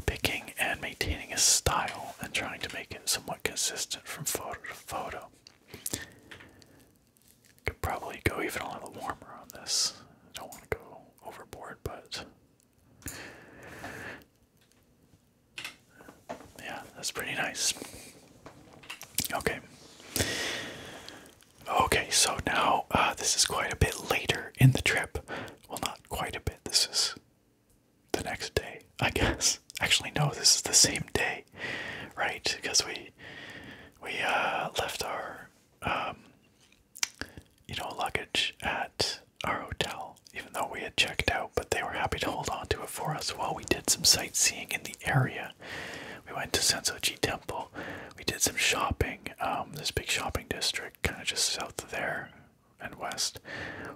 picking and maintaining a style and trying to make it somewhat consistent from photo to photo. Could probably go even a little warmer on this. don't want to go overboard, but yeah, that's pretty nice. Okay. Okay, so now uh, this is quite a bit later in the trip. Well, not quite a bit. This is the next day, I guess. Actually, no, this is the same day, right? Because we we uh, left our um, you know luggage at our hotel, even though we had checked out, but they were happy to hold on to it for us while we did some sightseeing in the area. We went to Sensoji Temple, we did some shopping, um, this big shopping district, kind of just south of there and west,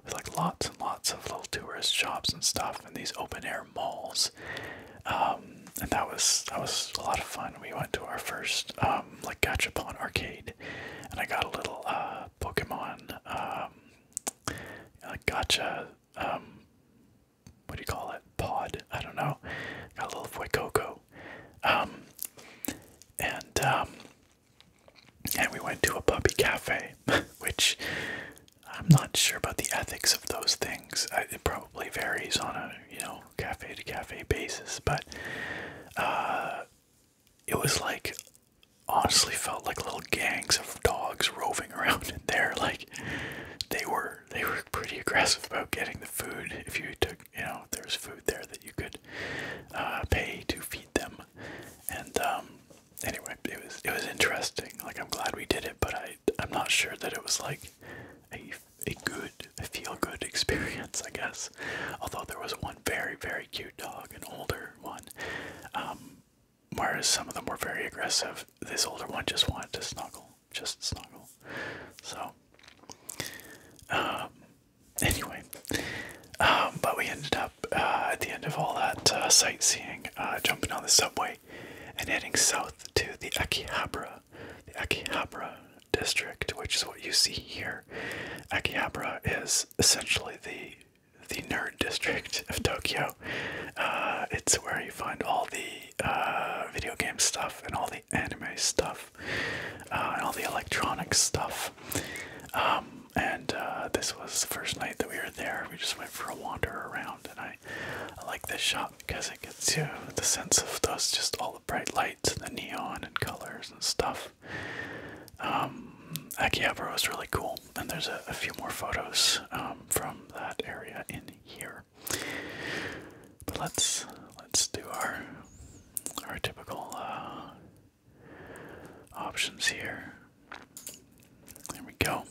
with like lots and lots of little tourist shops and stuff, and these open air malls. Um, and that was that was a lot of fun. We went to our first um, like Gachapon arcade, and I got a little uh, Pokemon um, gotcha. Um, what do you call it? Pod? I don't know. Got a little Fuecoco. Um, and um, and we went to a puppy cafe, which I'm not sure about the ethics of those things. it probably varies on a you know cafe to cafe basis, but uh, it was like honestly felt like little gangs of dogs roving around in there like they were they were pretty aggressive about getting the food if you took you know there's food there that you could uh, pay to feed them and um, anyway it was it was interesting like i'm glad we did it but i i'm not sure that it was like a, a good feel good experience i guess although there was one very very cute dog an older one um, Whereas some of them were very aggressive, this older one just wanted to snuggle, just snuggle. So, um, anyway, um, but we ended up uh, at the end of all that uh, sightseeing, uh, jumping on the subway and heading south to the Akihabara, the Akihabara district, which is what you see here. Akihabara is essentially the the nerd district of Tokyo. Uh, it's where you find all the uh, video game stuff and all the anime stuff uh, and all the electronic stuff. Um, and this was the first night that we were there. We just went for a wander around, and I, like this shop because it gives you the sense of those just all the bright lights and the neon and colors and stuff. Um, Akihabara was really cool. And there's a, few more photos um, from that area in here. But let's let's do our our typical uh, options here. There we go.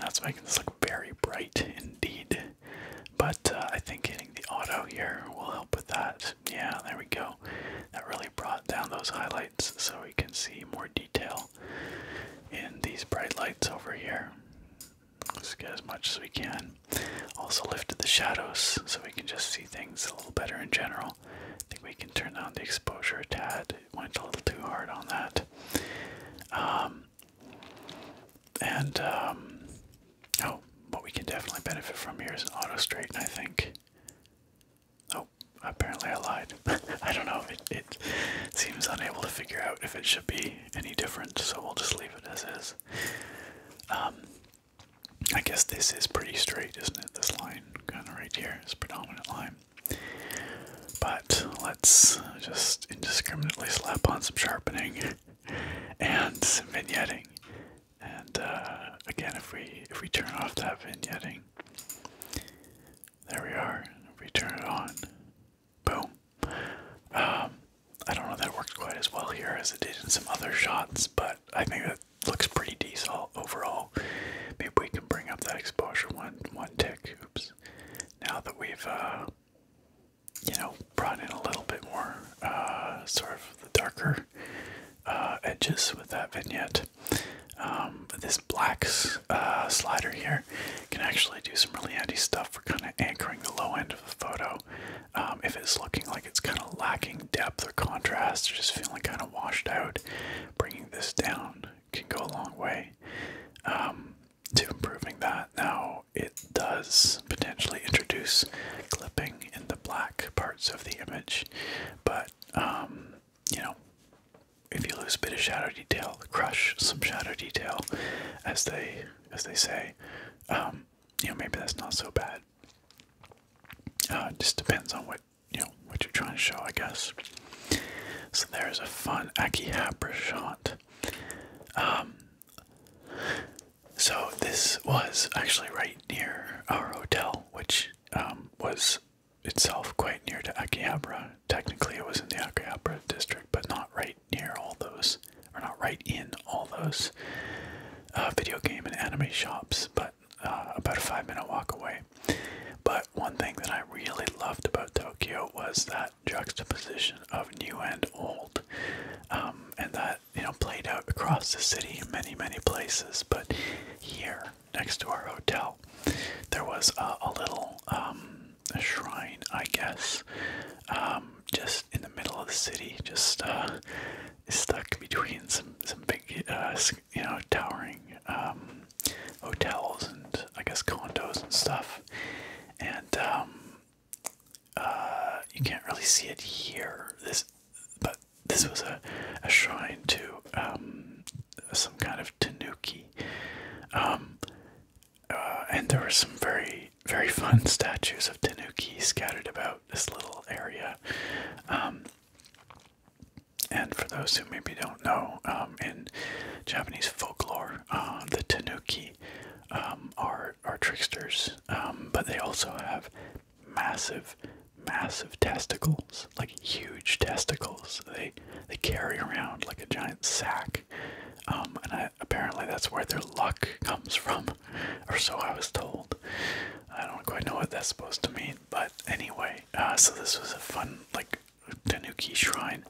That's making this look very bright indeed. But uh, I think hitting the auto here will help with that. Yeah, there we go. That really brought down those highlights so we can see more detail in these bright lights over here. Let's get as much as we can. Also lifted the shadows so we can just see things a little better in general. I think we can turn down the exposure a tad. went a little too hard on that. Um, and, um, oh, what we can definitely benefit from here is an auto straighten, I think. Oh, apparently I lied. I don't know. It, it seems unable to figure out if it should be any different, so we'll just leave it as is. Um, I guess this is pretty straight, isn't it? This line, kind of right here, here, is predominant line. But let's just indiscriminately slap on some sharpening and some vignetting. And uh, again, if we if we turn off that vignetting, there we are. We turn it on. Boom. Um, I don't know that worked quite as well here as it did in some other shots, but I think it looks pretty decent overall. Maybe we can bring up that exposure one one tick. Oops. Now that we've uh, you know brought in a little bit more uh, sort of the darker uh, edges with that vignette, um, this black uh, slider here can actually do some really handy stuff for kind of anchoring the low end of the photo. Um, if it's looking like it's kind of lacking depth or contrast, or just feeling kind of washed out, bringing this down can go a long way um, to improving that. Now, it does potentially introduce clipping in the black parts of the image, but you know, if you lose a bit of shadow detail, crush some shadow detail, as they as they say, um, you know, maybe that's not so bad. Uh, just depends on what you know what you're trying to show, I guess. So there's a fun Akihabara shot. Um, so this was actually right near our hotel, which um, was itself quite near to Akihabara. Technically, it was in the Akihabara district, but not right near all those, or not right in all those uh, video game and anime shops, but uh, about a five minute walk away. But one thing that I really loved about Tokyo was that juxtaposition of new and old, um, and that you know played out across the city in many many places. But here, next to our hotel, there was uh, a little um, shrine, I guess, um, just in the middle of the city, just uh, stuck between some some big, uh, you know, towering um, hotels and I guess condos and stuff, and you can't really see it here. This, but this was a, a shrine to some kind of tanuki. Um, uh, and there were some very, very fun statues of Tanuki scattered about this little area. Um, and for those who maybe don't know, um, in Japanese folklore, uh, the Tanuki are, are tricksters, but they also have massive, massive testicles like huge testicles. They they carry around like a giant sack, um, and apparently that's where their luck comes from, or so I was told. I don't quite know what that's supposed to mean, but anyway, uh, so this was a fun like Tanuki shrine,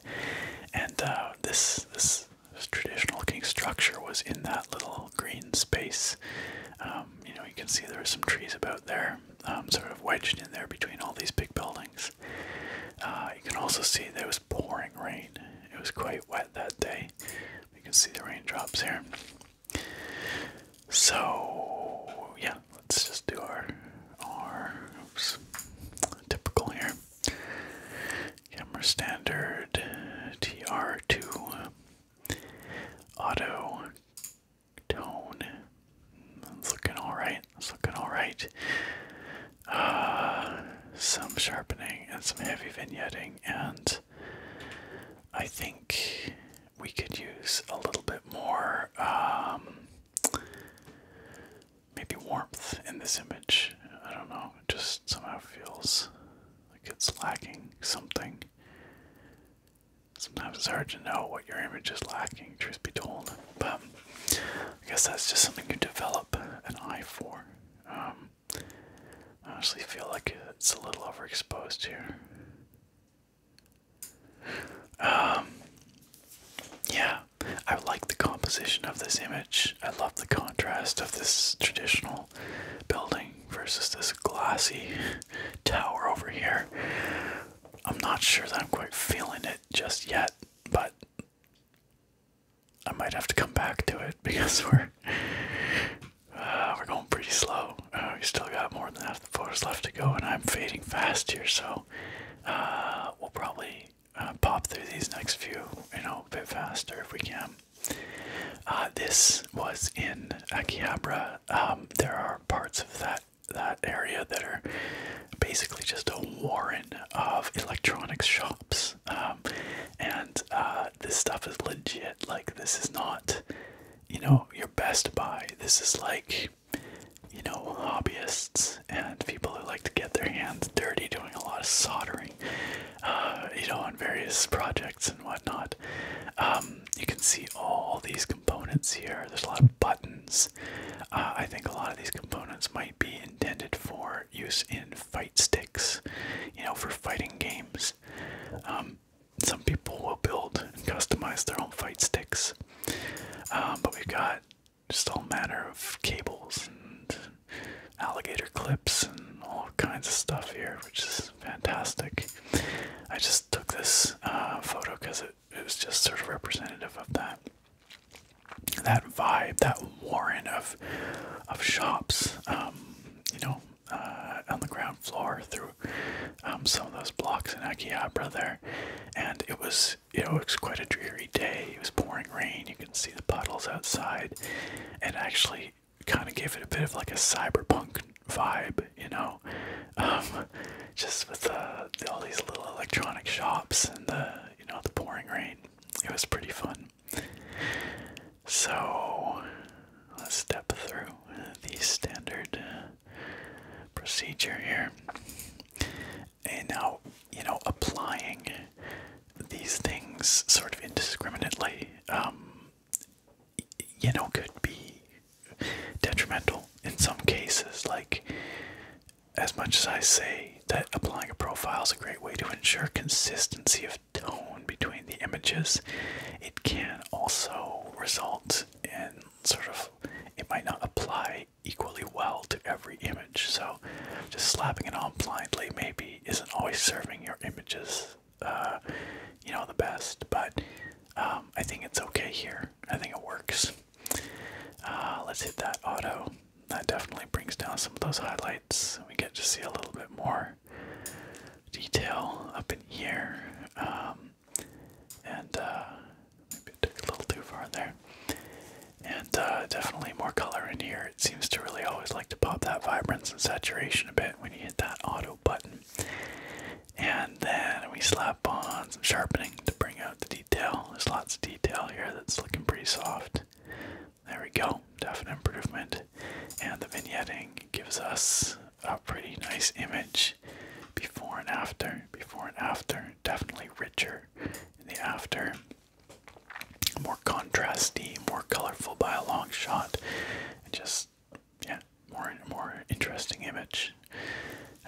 and uh, this this. traditional looking structure was in that little green space. Um, you know, you can see there are some trees about there um, sort of wedged in there between all these big buildings. Uh, you can also see there was pouring rain. It was quite wet that day. You can see the raindrops here. So yeah, let's just do our our oops, typical here. Camera standard TR2 uh, auto tone. That's looking alright. That's looking alright. Uh, some sharpening and some heavy vignetting, and I think we could use a little bit more um, maybe warmth in this image. I don't know, it just somehow feels like it's lacking something. Sometimes it's hard to know what your image is lacking, truth be told. But I guess that's just something you develop an eye for. Um, I honestly feel like it's a little overexposed here. Um, yeah, I like the composition of this image. I love the contrast of this traditional building versus this glassy tower over here. I'm not sure that I'm quite feeling it just yet, but I might have to come back to it because we're uh, we're going pretty slow. Uh, we still got more than half the photos left to go, and I'm fading fast here, so uh, we'll probably uh, pop through these next few, you know, a bit faster if we can. Uh, this was in Akihabara. Um, there are parts of that that area that are basically just a warren of electronics shops. Um, and uh, this stuff is legit. Like, this is not, you know, your best buy. This is like, you know, hobbyists and people who like to get their hands dirty doing a lot of soldering, uh, you know, on various projects and whatnot. Um, you can see all these components here. There's a lot of buttons. Uh, I think a lot of these components might be intended for use in fight sticks, you know, for fighting games. Um, some people will build and customize their own fight sticks, um, but we've got just all manner of cables and alligator clips and all kinds of stuff here, which is fantastic. I just took this uh, photo because it it was just sort of representative of that that vibe, that warren of of shops, um, you know, uh, on the ground floor through um, some of those blocks in Akihabara there, and it was it was quite a dreary day. It was pouring rain. You can see the puddles outside, and actually kind of gave it a bit of like a cyberpunk vibe, you know, um, just with all these little electronic shops and the you know the pouring rain. It was pretty fun. So let's step through the standard uh, procedure here. And now, you know, applying these things sort of indiscriminately, um, you know, could be detrimental in some cases. Like, as much as I say that applying a profile is a great way to ensure consistency of tone between the images, it can also result in sort of it might not apply equally well to every image. So just slapping it on blindly maybe isn't always serving your images, uh, you know, the best. But um, I think it's okay here. I think it works. Uh, let's hit that auto. That definitely brings down some of those highlights. We get to see a little bit more detail up in here. Um, and uh, maybe it took a little too far there. And uh, definitely more color in here. It seems to really always like to pop that vibrance and saturation a bit when you hit that auto button. And then we slap on some sharpening to bring out the detail. There's lots of detail here that's looking pretty soft. There we go, definite improvement. And the vignetting gives us a pretty nice image before and after. Before and after, definitely richer in the after. More contrasty, more colorful by a long shot. And just, yeah, more more interesting image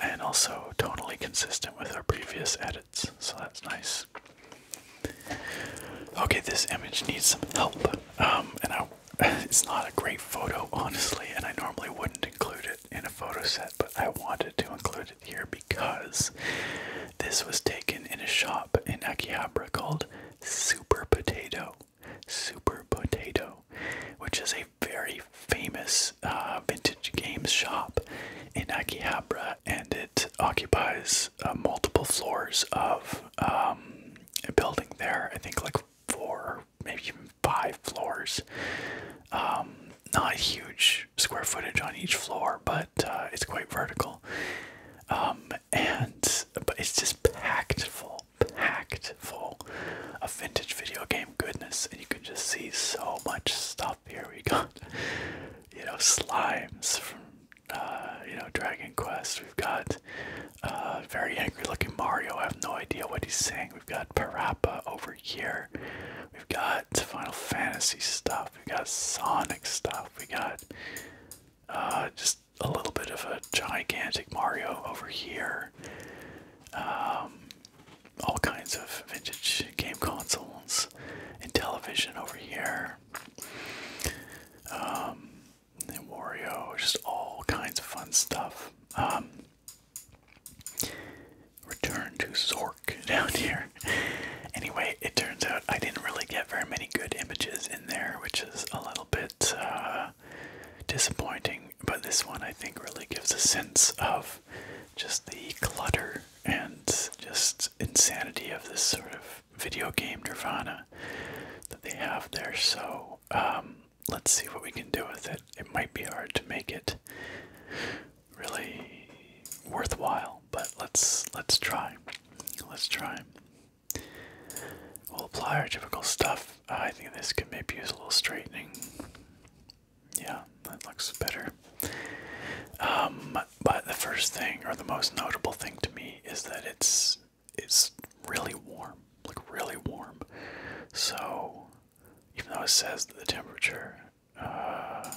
and also totally consistent with our previous edits, so that's nice. Okay, this image needs some help, um, and it's not a great photo, honestly, and I normally wouldn't include it in a photo set, but I wanted to include it here because this was taken in a shop in Akihabara called Super Potato. Super Potato, which is a very famous uh, vintage games shop in Akihabara, and it occupies uh, multiple floors of um, a building there. I think like four, maybe even five floors. Um, not huge square footage on each floor, but uh, it's quite vertical. Um, and but it's just packed full, packed full of vintage video game goodness, and you can just see so much stuff here we got, you know, slimes from, uh, you know, Dragon Quest. We've got uh, very angry looking Mario. I have no idea what he's saying. We've got Parappa over here. We've got Final Fantasy stuff. We've got Sonic stuff. We got uh, just a little bit of a gigantic Mario over here. Um, all kinds of vintage game consoles and television over here. Um, and Wario, just all kinds of fun stuff. Um, return to Zork down here. anyway, it turns out I didn't really get very many good images in there, which is a little bit uh, disappointing. But this one I think really gives a sense of just the clutter and just insanity of this sort of video game nirvana that they have there. So um, let's see what we can do with it. It might be hard to make it really worthwhile, but let's let's try. Let's try. We'll apply our typical stuff. I think this could maybe use a little straightening. Yeah, that looks better. Um, but the first thing, or the most notable thing to me, is that it's it's really warm, like really warm. So even though it says that the temperature uh,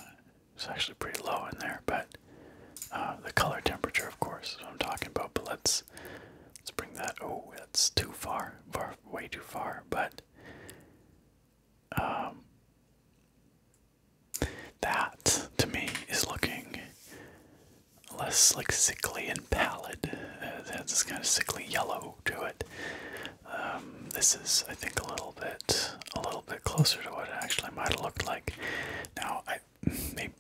is actually pretty low in there, but uh, the color temperature, of course, I'm talking about. But let's let's bring that. Oh, it's too far, far, way too far. But um, that to me is looking less like sickly and pallid. It has this kind of sickly yellow to it. Um, this is, I think, a little bit, a little bit closer to what it actually might have looked like. Now,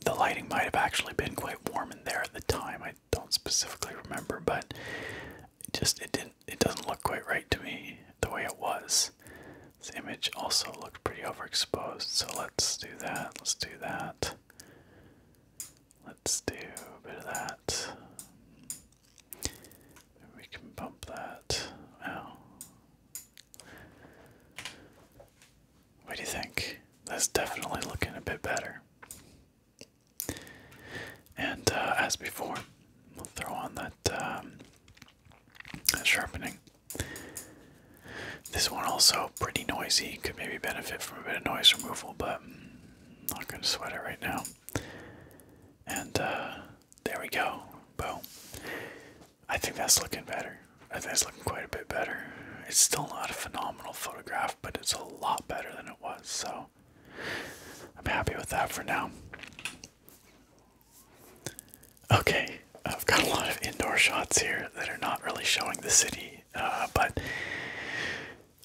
the lighting might have actually been quite warm in there at the time. I don't specifically remember, but it just it didn't it doesn't look quite right to me the way it was. This image also looked pretty overexposed, so let's do that. Let's do that. Let's do a bit of that. we can bump that. Wow. What do you think? That's definitely looking a bit better. And uh, as before, we'll throw on um, that, sharpening. This one also pretty noisy, could maybe benefit from a bit of noise removal, but I'm not going to sweat it right now. And uh, there we go. Boom. I think that's looking better. I think it's looking quite a bit better. It's still not a phenomenal photograph, but it's a lot better than it was, so I'm happy with that for now. Okay, I've got a lot of indoor shots here that are not really showing the city, uh, but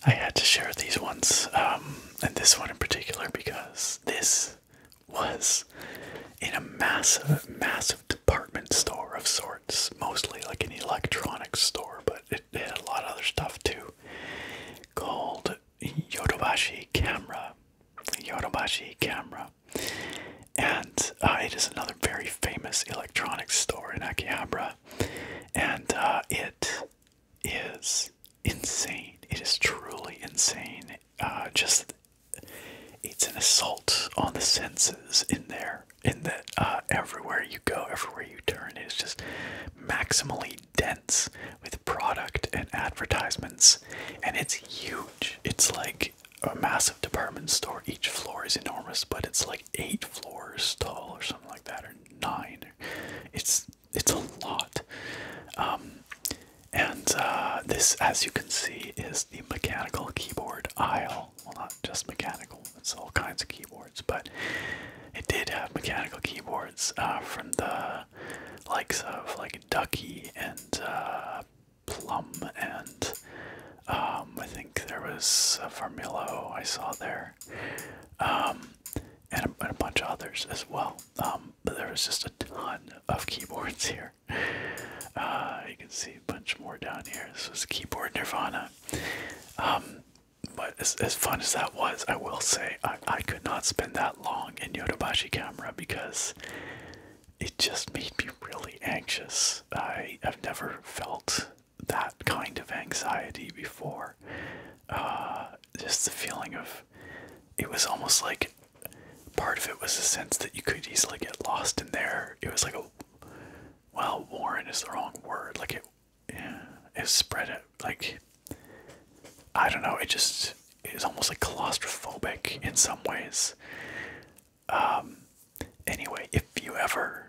I had to share these ones, um, and this one in particular, because this was in a massive, massive department store of sorts, mostly like an electronics store, but it had a lot of other stuff too, called Yodobashi Camera. Yodobashi camera. And uh, it is another very famous electronics store in Akihabara. And uh, it is insane. It is truly insane. Uh, just it's an assault on the senses in there. In that everywhere you go, everywhere you turn, it is just maximally dense with product and advertisements, and it's huge. It's like a massive department store. Each floor is enormous, but it's like eight floors tall or something like that, or nine. It's it's a lot. Um, and uh, this, as you can see, is the mechanical keyboard aisle. Well, not just mechanical, it's all kinds of keyboards, but it did have mechanical keyboards uh, from the uh, likes of like Ducky and uh, Plum, and um, I think there was a Farmillo I saw there, um, and, a, bunch of others as well. Um, but there was just a ton of keyboards here. Uh, you can see a bunch more down here. This was Keyboard Nirvana. but as, as fun as that was, I will say I, could not spend that long in Yodobashi camera because it just made me really anxious. I have never felt that kind of anxiety before. Uh, just the feeling of it was almost like part of it was a sense that you could easily get lost in there. It was like a well, Warren is the wrong word. Like it, it spread it like I don't know, it just is almost like claustrophobic in some ways. Um, anyway, if you ever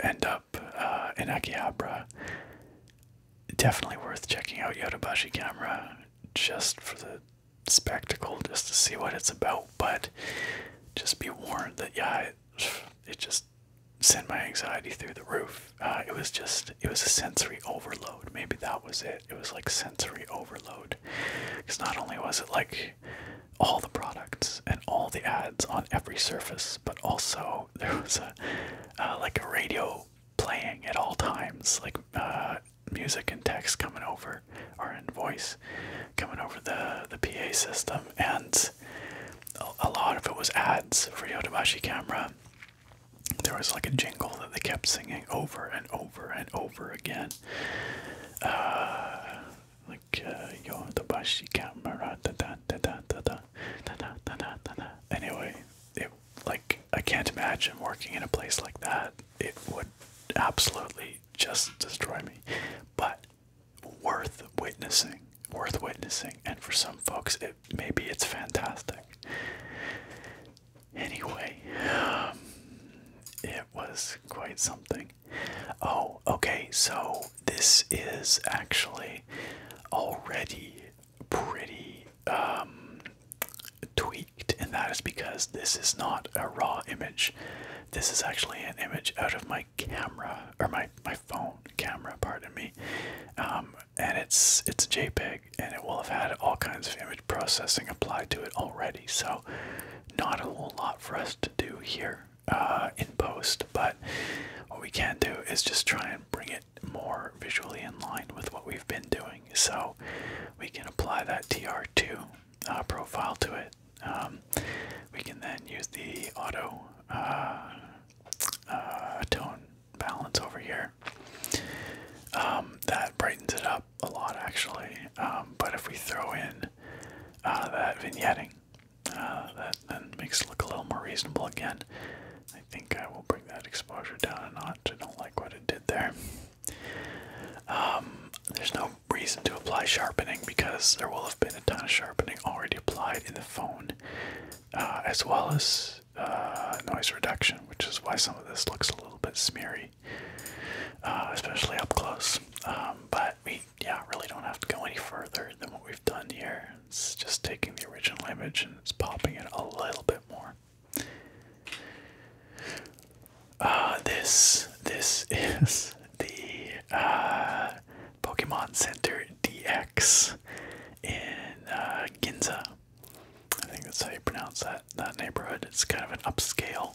end up uh, in Akihabara, definitely worth checking out Yodobashi Camera just for the spectacle, just to see what it's about. But just be warned that, yeah, it just sent my anxiety through the roof. Uh, it was just it was a sensory overload maybe that was it it was like sensory overload because not only was it like all the products and all the ads on every surface but also there was a uh, like a radio playing at all times like uh, music and text coming over or in voice coming over the the pa system and a, lot of it was ads for yodobashi camera there was like a jingle that they kept singing over and over and over again. like yo the bashi camera da da da da da da da da da da. Anyway, it like I can't imagine working in a place like that. It would absolutely just destroy me. But worth witnessing, worth witnessing, and for some folks, it maybe it's fantastic. Anyway, um, it was quite something. Oh, okay, so this is actually already pretty um, tweaked, and that is because this is not a raw image. This is actually an image out of my camera, or my, my phone camera, pardon me. Um, and it's it's a JPEG, and it will have had all kinds of image processing applied to it already. So, not a whole lot for us to do here uh, in post. But what we can do is just try and bring it more visually in line with what we've been doing. So, we can apply that TR2 uh, profile to it. Um, we can then use the auto uh, tone balance over here. Um, that brightens it up a lot actually. Um, but if we throw in uh, that vignetting, uh, that then makes it look a little more reasonable again. I think I will bring that exposure down a notch. I don't like what it did there. Um, there's no reason to apply sharpening because there will have been a ton of sharpening already applied in the phone, uh, as well as uh, noise reduction, which is why some of this looks a little bit smeary, uh, especially up close. Um, but we, yeah, really don't have to go any further than what we've done here. It's just taking the original image and it's popping it a little bit more. Uh, this this is the uh, Pokemon Center DX in Ginza, I think that's how you pronounce that that neighborhood. It's kind of an upscale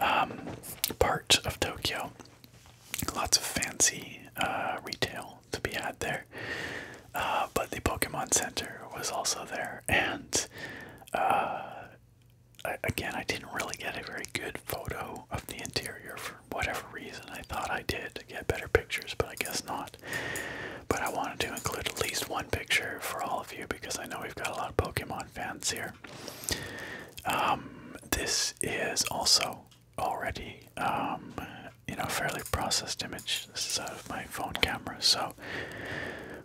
um, part of Tokyo. Lots of fancy uh, retail to be had there. Uh, but the Pokemon Center was also there, and uh, again, I didn't really get a very good photo of the interior for whatever reason. I thought I did to get better pictures, but I guess not. But I wanted to include at least one picture for all of you because I know we've got a lot of Pokemon fans here. Um, this is also already, um, you know, fairly processed image. This is out of my phone camera, so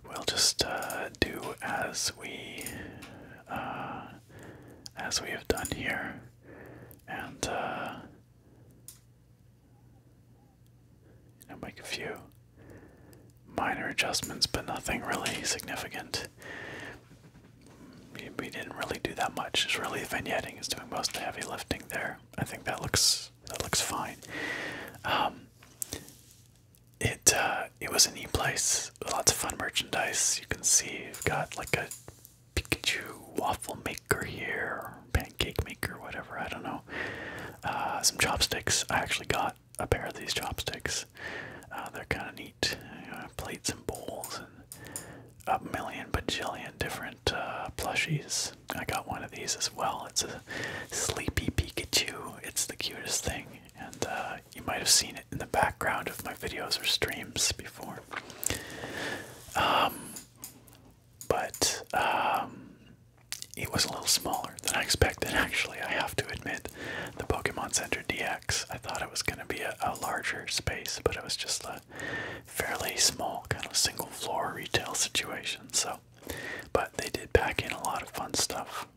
we'll just uh, do as we uh, as we have done here, and. Uh, I'll make a few minor adjustments, but nothing really significant. We, didn't really do that much. It's really vignetting is doing most of the heavy lifting there. I think that looks that looks fine. Um, it uh, it was a neat place lots of fun merchandise. You can see we have got like a Pikachu waffle maker here, pancake maker, whatever, I don't know. Uh, some chopsticks. I actually got a pair of these chopsticks. Uh, they're kind of neat. plates and bowls and a million bajillion different uh, plushies. I got one of these as well. It's a sleepy Pikachu. It's the cutest thing. And you might have seen it in the background of my videos or streams before. Um, but um, it was a little smaller than I expected, actually. I have to admit, the Pokemon Center DX, I thought it was going to be a, larger space, but it was just a fairly small, kind of single floor retail situation. So, but they did pack in a lot of fun stuff.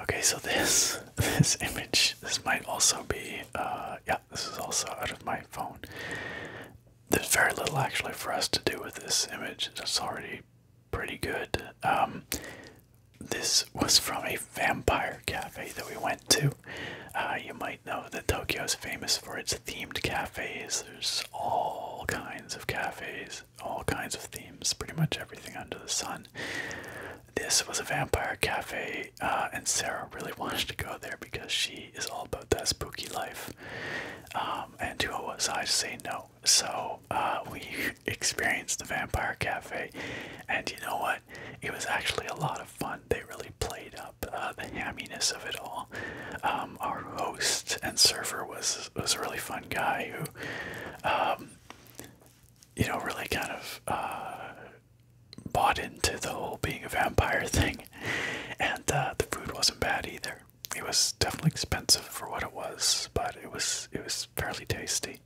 Okay, so this this image, this might also be, uh, yeah, this is also out of my phone there's very little actually for us to do with this image. It's already pretty good. Um, this was from a vampire cafe that we went to. Uh, you might know that Tokyo is famous for its themed cafes. There's all kinds of cafes, all kinds of themes, pretty much everything under the sun. This was a vampire cafe, uh, and Sarah really wanted to go there because she is all about that spooky life. Um, and to what was I to say no? So uh, we experienced the Vampire Cafe, and you know what? It was actually a lot of fun. They really played up uh, the hamminess of it all. Um, our host and server was was a really fun guy who, um, you know, really kind of. Uh, bought into the whole being a vampire thing and the food wasn't bad either it was definitely expensive for what it was, but it was it was fairly tasty.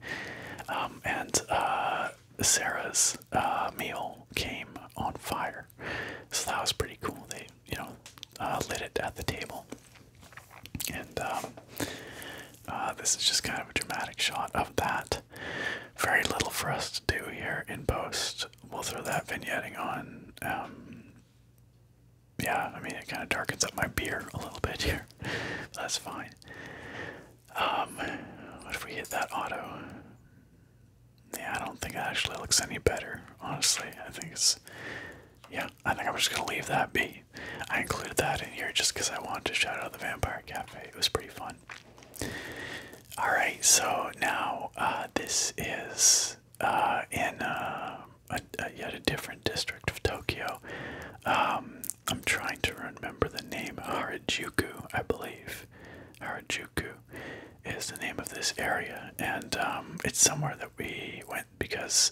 Um, and uh, Sarah's uh, meal came on fire, so that was pretty cool. They you know uh, lit it at the table, and um, this is just kind of a dramatic shot of that. Very little for us to do here in post. We'll throw that vignetting on um, yeah, I mean, it kind of darkens up my beer a little bit here. That's fine. Um, what if we hit that auto? Yeah, I don't think it actually looks any better, honestly. I think it's. Yeah, I think I'm just gonna leave that be. I included that in here just because I wanted to shout out the Vampire Cafe. It was pretty fun. Alright, so now uh, this is uh, in uh, a, yet a different district of Tokyo. Um, I'm trying to remember the name Harajuku, I believe. Harajuku is the name of this area, and um, it's somewhere that we went because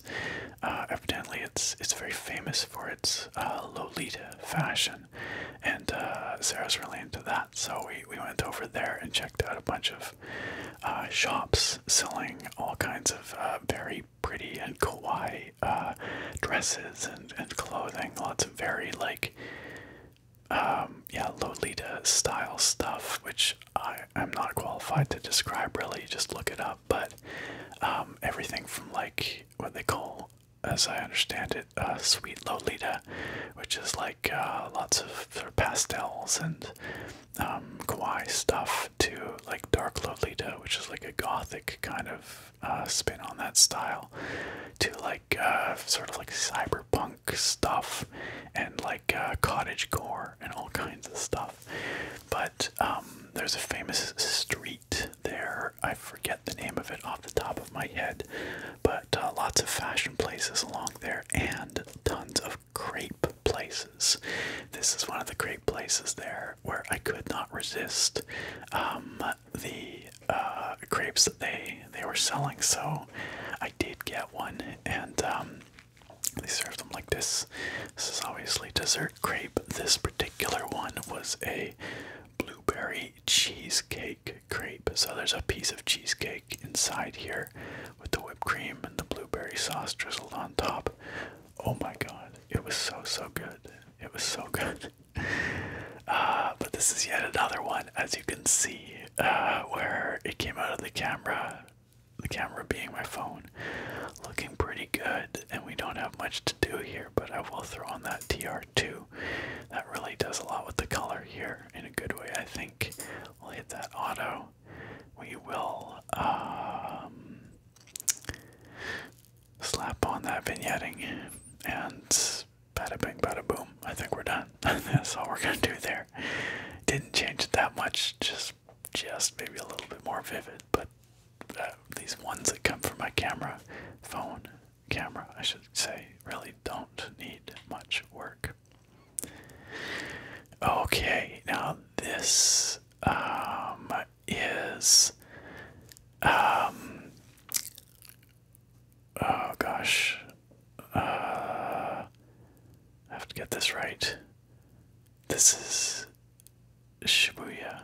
uh, evidently it's it's very famous for its Lolita fashion, and Sarah's really into that. So we we went over there and checked out a bunch of uh, shops selling all kinds of uh, very pretty and kawaii uh, dresses and, and clothing. Lots of very like, um, yeah, Lolita style stuff, which I, am not qualified to describe really. Just look it up. But um, everything from like what they call, as I understand it, sweet Lolita, which is like lots of pastels and um, kawaii stuff to like Dark Lolita, which is like a gothic kind of uh, spin on that style, to like uh, sort of like cyberpunk stuff and like uh, cottage core and all kinds of stuff. But um, there's a famous street there. I forget the name of it off the top of my head, but lots of fashion places along there and tons of crepe places. This is one of the crepe places there where I could not resist um, the uh, crepes that they they were selling. So I did get one, and um, they served them like this. This is obviously dessert crepe. This particular one was a blueberry cheesecake crepe. So there's a piece of cheesecake inside here with the whipped cream and the blueberry sauce drizzled on top. Oh my god, it was so so good. It was so good. Uh, but this is yet another one, as you can see, uh, where it came out of the camera, the camera being my phone, looking pretty good. And we don't have much to do here, but I will throw on that TR2. That really does a lot with the color here in a good way, I think. We'll hit that auto we will um, slap on that vignetting and bada bing bada boom. I think we're done. That's all we're gonna do there. Didn't change it that much, just just maybe a little bit more vivid, but uh, these ones that come from my camera, phone, camera, I should say, really don't need much work. Okay, now this um, is. Um, oh gosh. Uh, I have to get this right. This is Shibuya.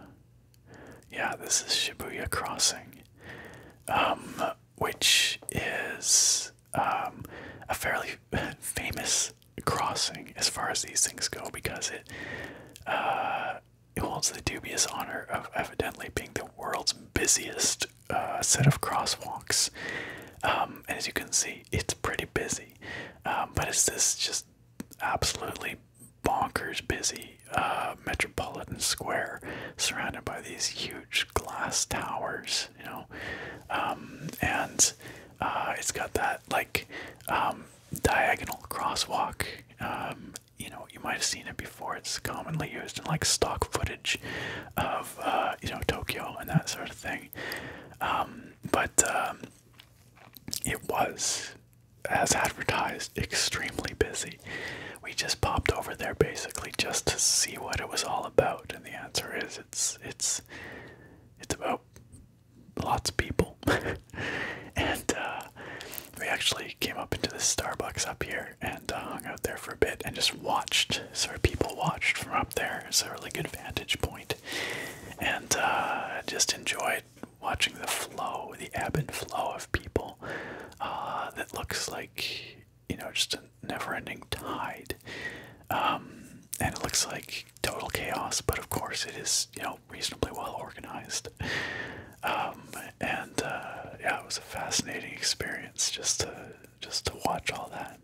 Yeah, this is Shibuya Crossing. Um, which is um, a fairly famous crossing as far as these things go because it uh, it holds the dubious honor of evidently being the world's busiest uh, set of crosswalks. Um, and as you can see, it's pretty busy, um, but it's this just absolutely bonkers busy uh, metropolitan square surrounded by these huge glass towers, you know, um, and uh, it's got that like um, diagonal crosswalk. Um, you know, you might have seen it before. It's commonly used in like stock footage of uh, you know Tokyo and that sort of thing. Um, but it was, as advertised, extremely busy. We just popped over there basically just to see what it was all about, and the answer is it's it's it's about lots of people. and uh, we actually came up into this Starbucks up here and uh, hung out there for a bit and just watched. Sort of people watched from up there. It's a really good vantage And uh, just enjoyed watching the flow, the ebb and flow of people that looks like, you know, just never-ending tide, um, and it looks like total chaos. But of course, it is you know reasonably well organized, um, and uh, yeah, it was a fascinating experience just to just to watch all that.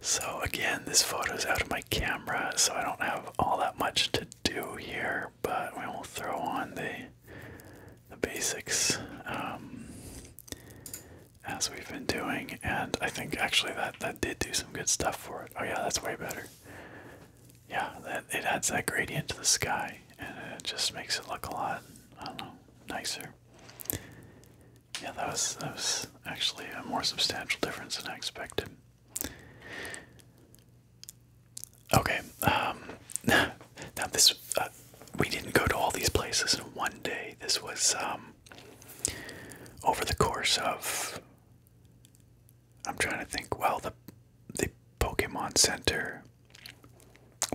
So again, this photo is out of my camera, so I don't have all that much to do here. But we will throw on the the basics. Um, as we've been doing, and I think actually that that did do some good stuff for it. Oh yeah, that's way better. Yeah, that it adds that gradient to the sky, and it just makes it look a lot, I don't know, nicer. Yeah, that was that was actually a more substantial difference than I expected. Okay, um, now this uh, we didn't go to all these places in one day. This was um, over the course of I'm trying to think, well the the Pokemon Center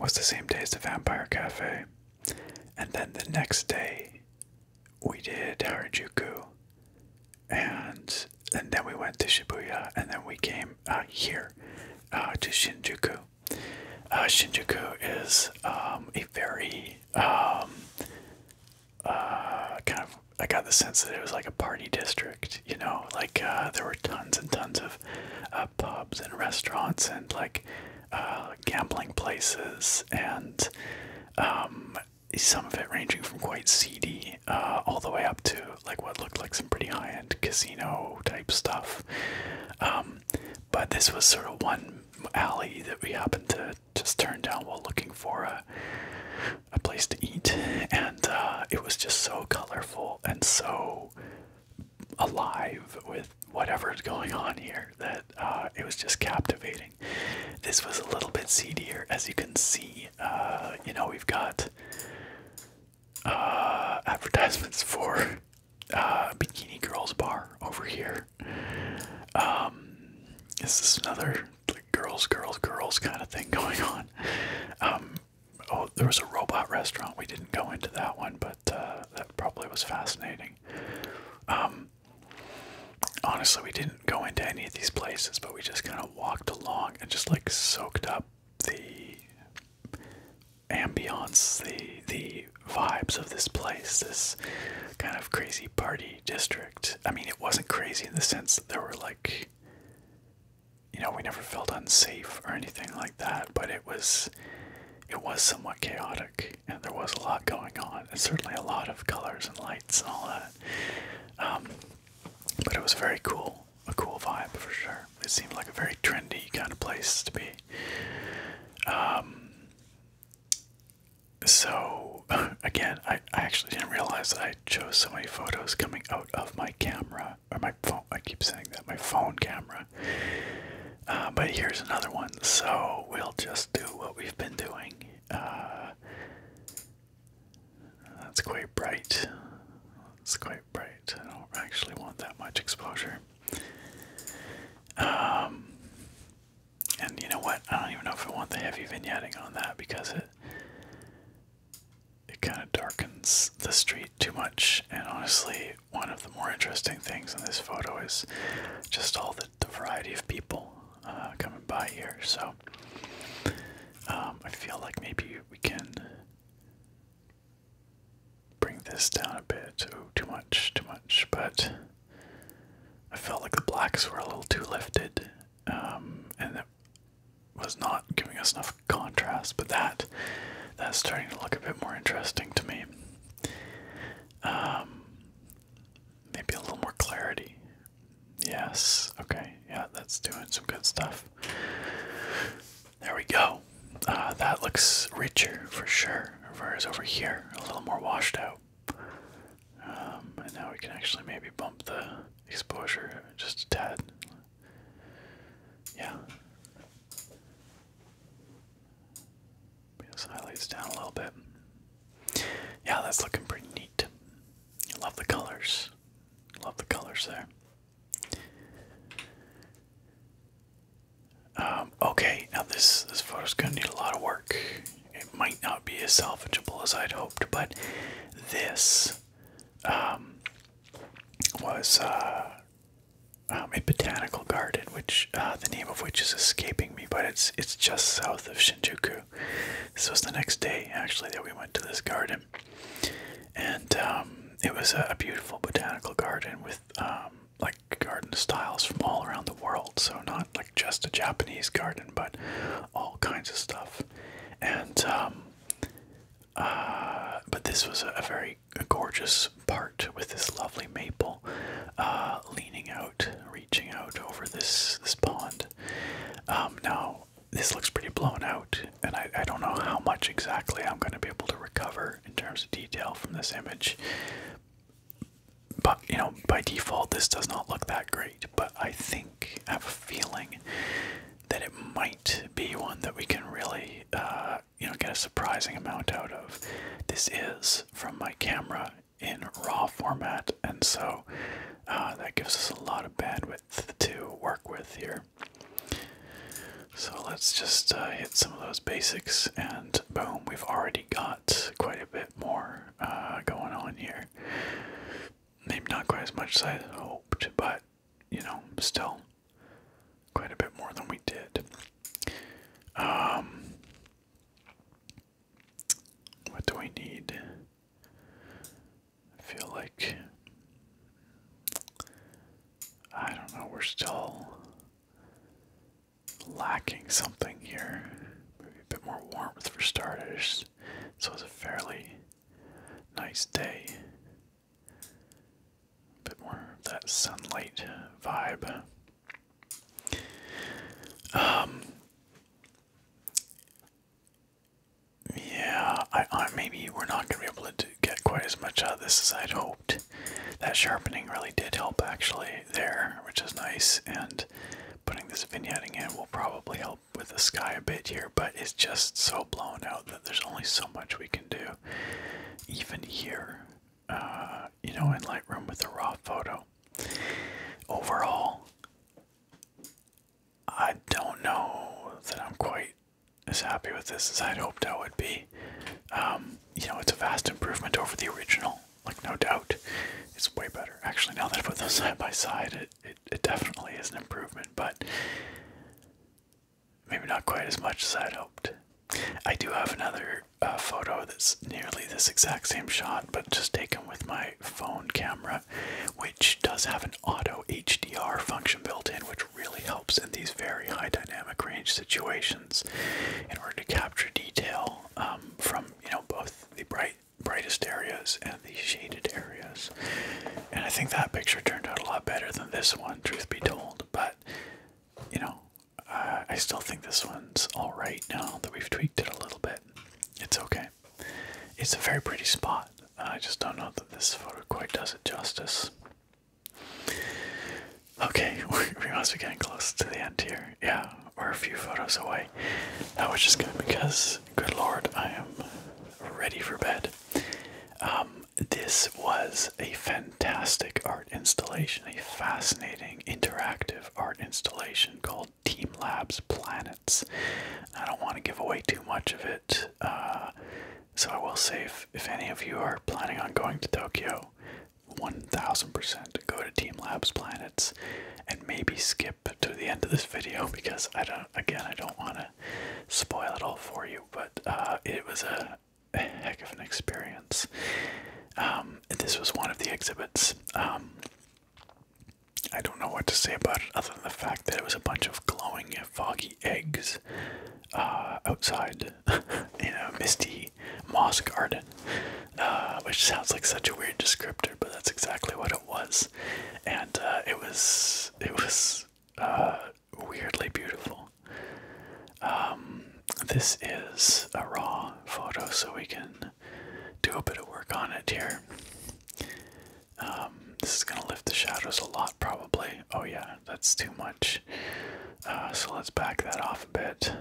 was the same day as the Vampire Cafe. And then the next day we did Harajuku and and then we went to Shibuya and then we came uh, here uh, to Shinjuku. Uh, Shinjuku is um, a very um, uh, kind of I got the sense that it was like a party district, you know, like uh, there were tons and tons of uh, pubs and restaurants and like gambling places and um, some of it ranging from quite seedy all the way up to like what looked like some pretty high-end casino type stuff. Um, but this was sort of one alley that we happened to just turn down while looking for a a place to eat, and uh, it was just so colorful and so alive with whatever's going on here that uh, it was just captivating. This was a little bit seedier, as you can see. Uh, you know, we've got advertisements for uh, Bikini Girls Bar over here, um, is this another like girls, girls, girls kind of thing going on? Um, oh, there was a robot restaurant. We didn't go into that one, but uh, that probably was fascinating. Um, honestly, we didn't go into any of these places, but we just kind of walked along and just like soaked up the ambiance, the the vibes of this place, this kind of crazy party district. I mean, it wasn't crazy in the sense that there were like, you know, we never felt unsafe or anything like that, but it was, it was somewhat chaotic, and there was a lot going on, and certainly a lot of colors and lights and all that. Um, but it was very cool, a cool vibe for sure. It seemed like a very trendy kind of place to be. Um, so again, I, I actually didn't realize I chose so many photos coming out of my camera or my phone. I keep saying that my phone camera. Uh, but here's another one. So we'll just do what we've been doing. Uh, that's quite bright. It's quite bright. I don't actually want that much exposure. Um, and you know what? I don't even know if I want the heavy vignetting on that because it it kind of darkens the street too much. And honestly, one of the more interesting things in this photo is just all the, the variety of people uh, coming by here. So um, I feel like maybe we can bring this down a bit. Oh, too much, too much. But I felt like the blacks were a little too lifted, um, and it was not giving us enough contrast. But that that's starting to look a bit more interesting to me. Um, maybe a little more clarity. Yes. Okay. Yeah, that's doing some good stuff. There we go. Uh, that looks richer for sure. Whereas over here, a little more washed out. Um, and now we can actually maybe bump the exposure just a tad. Yeah. Bring highlights down a little bit. Yeah, that's looking pretty neat. Love the colors. Love the colors there. Um, okay, now this this photo's gonna need a lot of work. It might not be as salvageable as I'd hoped, but this um, was uh, um, a botanical garden, which uh, the name of which is escaping me, but it's it's just south of Shinjuku. This was the next day, actually, that we went to this garden, and it was a, beautiful botanical garden with like garden styles from all around the world. So not like just a Japanese garden, but all kinds of stuff. And um, uh, but this was a, very gorgeous part with this lovely maple uh, leaning out, reaching out over this this pond. Um, now this looks pretty blown out, and I, I don't know how much exactly I'm going to be able to recover in terms of detail from this image but you know, by default, this does not look that great. But I think I have a feeling that it might be one that we can really, uh, you know, get a surprising amount out of. This is from my camera in RAW format, and so uh, that gives us a lot of bandwidth to work with here. So let's just uh, hit some of those basics, and boom, we've already got quite a bit more uh, going on here. Maybe not quite as much as I hoped, but you know, still quite a bit more than we did. Um, what do we need? I feel like I don't know. We're still lacking something here. Maybe a bit more warmth for starters. So it's a fairly nice day. A bit more of that sunlight vibe. Um, yeah, I, maybe we're not gonna be able to get quite as much out of this as I'd hoped. That sharpening really did help actually there, which is nice, and putting this vignetting in will probably help with the sky a bit here, but it's just so blown out that there's only so much we can do, even here, uh, you know, in Lightroom with a raw photo. Overall, I don't know that I'm quite as happy with this as I'd hoped I would be. Um, you know, it's a vast improvement over the original, like no doubt it's way better actually now that i put those side by side it, it, it definitely is an improvement but maybe not quite as much as i'd hoped i do have another uh, photo that's nearly this exact same shot but just taken with my phone camera which does have an auto hdr function built in which really helps in these very high dynamic range situations in order to capture detail um, from you know both the bright brightest areas and the shaded areas. And I think that picture turned out a lot better than this one, truth be told. But you know, uh, I still think this one's all right now that we've tweaked it a little bit. It's okay. It's a very pretty spot. I just don't know that this photo quite does it justice. Okay, we must be getting close to the end here. Yeah, or a few photos away, That was just good because, good lord, I am ready for bed. Um, this was a fantastic art installation, a fascinating interactive art installation called Team Labs Planets. I don't want to give away too much of it, uh, so I will say if, if any of you are planning on going to Tokyo, 1000% go to Team Labs Planets and maybe skip to the end of this video because I don't, again, I don't want to spoil it all for you, but uh, it was a, heck of an experience. Um, this was one of the exhibits. Um, I don't know what to say about it other than the fact that it was a bunch of glowing, foggy eggs uh, outside in a misty moss garden uh, which sounds like such a weird descriptor, but that's exactly what it was, and uh, it was it was uh, weirdly beautiful. Um, this is a raw photo, so we can do a bit of work on it here. Um, this is gonna lift the shadows a lot, probably. Oh yeah, that's too much. Uh, so let's back that off a bit.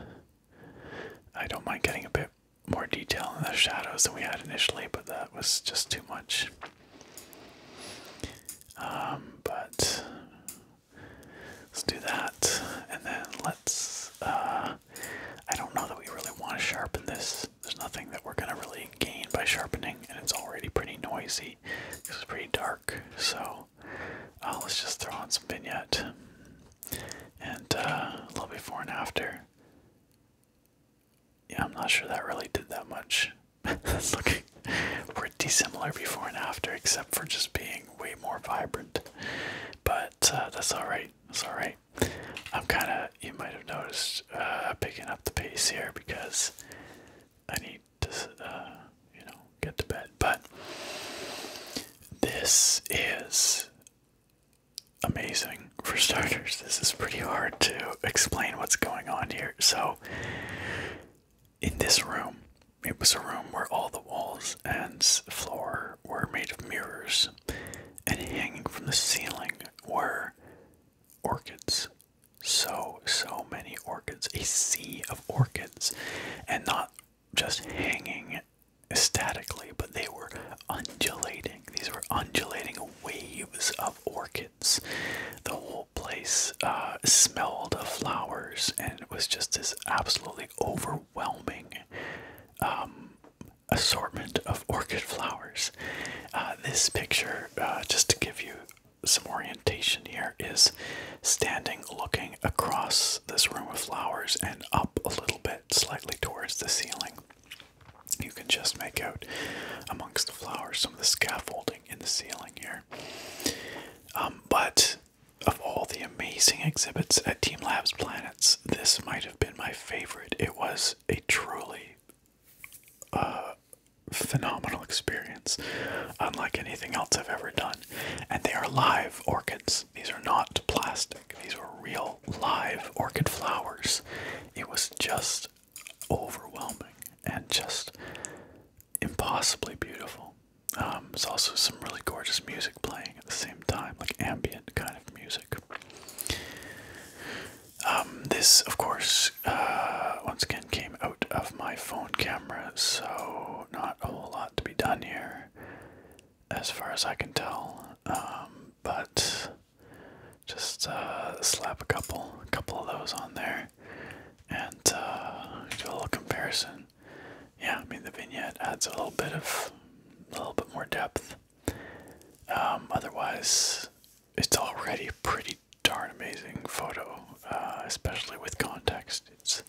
I don't mind getting a bit more detail in the shadows than we had initially, but that was just too much. Um, but let's do that, and then let's. Uh, I don't know that we really want to sharpen this. There's nothing that we're gonna really gain by sharpening, and it's already pretty noisy. It's pretty dark, so uh, let's just throw on some vignette and uh, a little before and after. Yeah, I'm not sure that really did that much. That's looking pretty similar before and after, except for just being way more vibrant. But uh, that's all right. That's all right. I'm kind of, you might have noticed, uh, picking up the pace here because I need to, you know, get to bed. But this is amazing. For starters, this is pretty hard to explain what's going on here. So, in this room, it was a room where all the walls and floor were made of mirrors, and hanging from the ceiling were orchids. So, so many orchids, a sea of orchids, and not just hanging statically, but they were undulating. These were undulating waves of orchids. The whole place uh, smelled of flowers, and it was just this absolutely overwhelming um, assortment of orchid flowers. Uh, this picture, uh, just to give you some orientation here, is standing looking across this room of flowers and up a little bit, slightly towards the ceiling. You can just make out amongst the flowers some of the scaffolding in the ceiling here. Um, but of all the amazing exhibits at Team Labs Planets, this might have been my favorite. It was a truly uh, phenomenal experience, unlike anything else I've ever done. And they are live orchids, these are not plastic, these are real live orchid flowers. It was just overwhelming and just impossibly beautiful. Um, there's also some really gorgeous music playing at the same time, like ambient kind of music. Um, this, of course, uh, once again came out of my phone camera, so not a whole lot to be done here, as far as I can tell. Um, but just uh, slap a couple, a couple of those on there, and uh, do a little comparison. Yeah, I mean the vignette adds a little bit of, a little bit more depth. Um, otherwise, it's already a pretty darn amazing photo, uh, especially with context. It's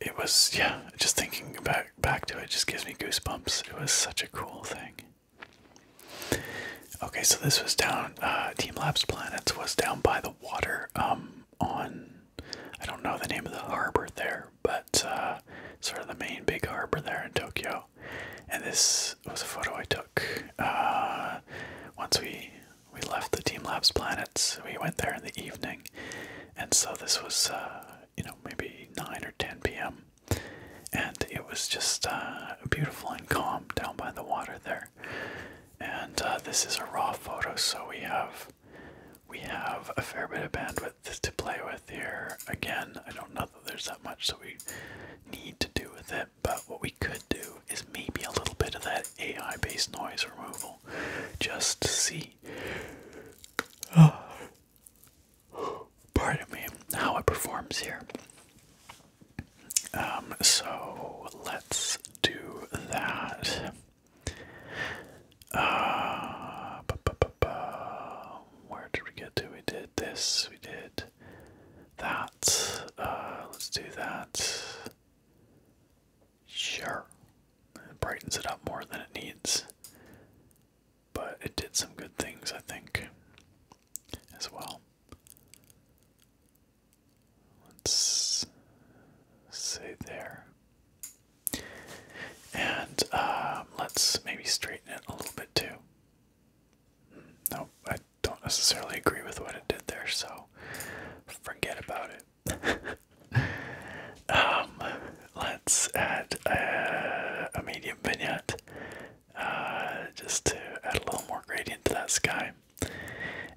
it was yeah just thinking back back to it just gives me goosebumps it was such a cool thing okay so this was down uh team labs planets was down by the water um on i don't know the name of the harbor there but uh sort of the main big harbor there in tokyo and this was a photo i took uh once we we left the team labs planets we went there in the evening and so this was uh you know, maybe 9 or 10 p.m. And it was just uh, beautiful and calm down by the water there. And uh, this is a raw photo, so we have we have a fair bit of bandwidth to play with here. Again, I don't know that there's that much so we need to do with it, but what we could do is maybe a little bit of that AI-based noise removal, just to see. pardon me, how it performs here. Um, so let's do that. Uh, Where did we get to? We did this, we did that. Uh, let's do that. Sure. It brightens it up more than it needs but it did some good things, I think, as well. Let's say there. And um, let's maybe straighten it a little bit too. No, I don't necessarily agree with what it did there, so forget about it. Um, let's add a, medium vignette uh, just to add a little more gradient to that sky.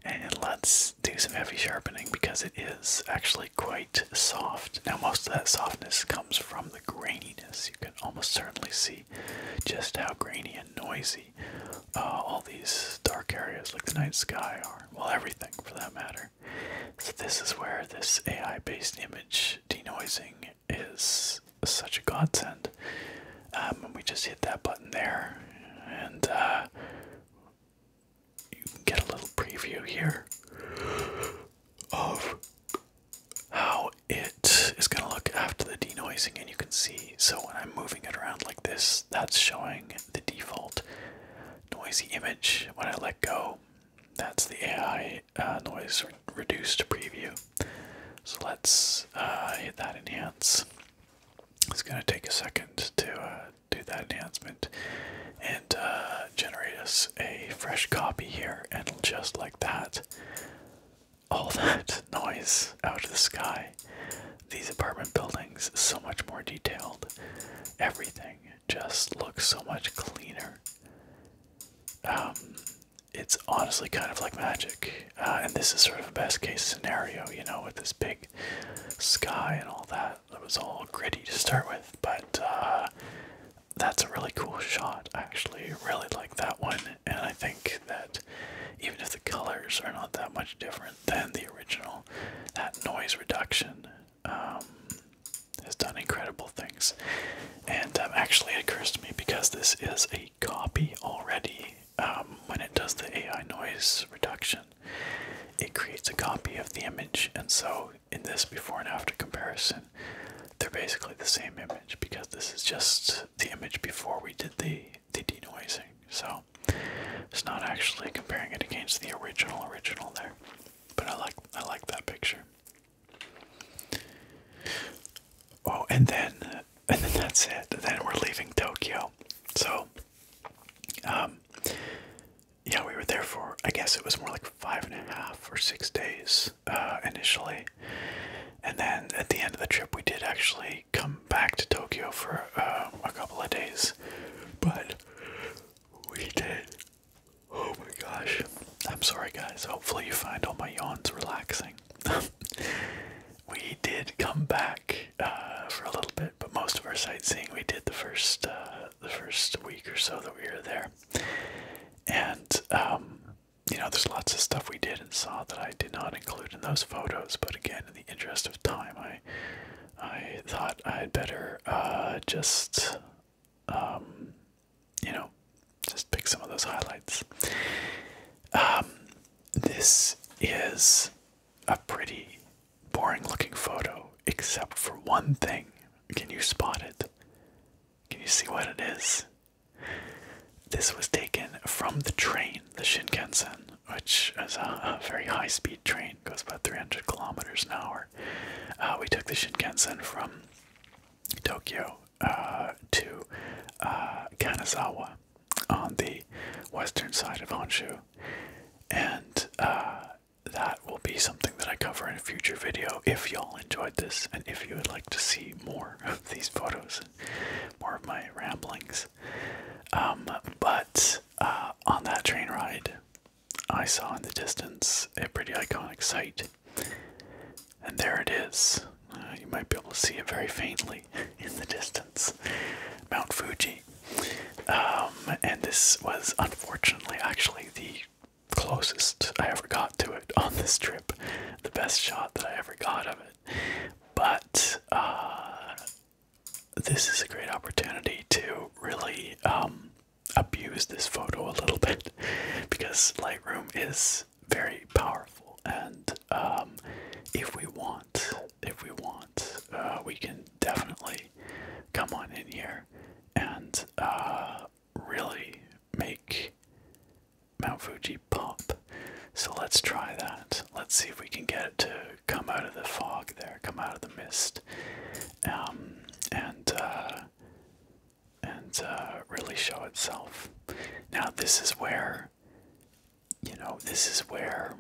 And let's do some heavy sharpening because it is actually quite soft. Now, most of that softness comes from the graininess. You can almost certainly see just how grainy and noisy uh, all these dark areas like the night sky are. Well, everything for that matter. So this is where this AI-based image denoising is such a godsend. Um, we just hit that button there, and uh, you can get a little preview here of how it is going to look after the denoising and you can see so when i'm moving it around like this that's showing the default noisy image when i let go that's the ai uh, noise or reduced preview. So let's uh, hit that enhance. It's going to take a second to uh, do that enhancement and generate us a fresh copy here, and just like that, all that noise out of the sky. These apartment buildings, so much more detailed. Everything just looks so much cleaner. Um, it's honestly kind of like magic, uh, and this is sort of a best case scenario, you know, with this big sky and all that. It was all gritty to start with, but uh, that's a really cool shot. actually really like that one, and I think that even if the colors are not that much different than the original, that noise reduction um, has done incredible things. And um, actually, it occurs to me because this is a copy already. Um, when it does the AI noise reduction, it creates a copy of the image, and so in this before and after comparison, they're basically the same image because this is just the image before we did the the denoising. So it's not actually comparing it against the original original there. But I like I like that picture. Oh, and then and then that's it. Then we're leaving Tokyo. So, um, yeah, we were there for I guess it was more like five and a half or six days uh, initially, and then at the end of the trip, we did actually come back to Tokyo for uh, a couple of days, but we did Oh my gosh. I'm sorry, guys. Hopefully, you find all my yawns relaxing. we did come back uh, for a little bit, but most of our sightseeing we did the first uh, the first week or so that we were there. And um, you know, there's lots of stuff we did and saw that I did not include in those photos. But again, in the interest of time, I I thought I'd better uh, just um, you know, just pick some of those highlights. Um, this is a pretty boring looking photo, except for one thing. Can you spot it? Can you see what it is? This was taken from the train, the Shinkansen, which is a, very high speed train, goes about 300 kilometers an hour. Uh, we took the Shinkansen from Tokyo uh, to uh, Kanazawa on the western side of Honshu, and uh, that will be something that I cover in a future video. If y'all enjoyed this, and if you would like to see more of these photos, and more of my ramblings, um, but on that train ride, I saw in the distance a pretty iconic sight. And there it is. Uh, you might be able to see it very faintly in the distance Mount Fuji. Um, and this was unfortunately actually the closest I ever got to it on this trip. The best shot that I ever got of it. But uh, this is a great opportunity to really um, abuse this photo a little bit because Lightroom is very powerful, and um, if we want, if we want, uh, we can definitely come on in here and uh, really make Mount Fuji pop. So let's try that. Let's see if we can get it to come out of the fog there, come out of the mist, um, and uh, and uh, really show itself. Now, this is where, you know, this is where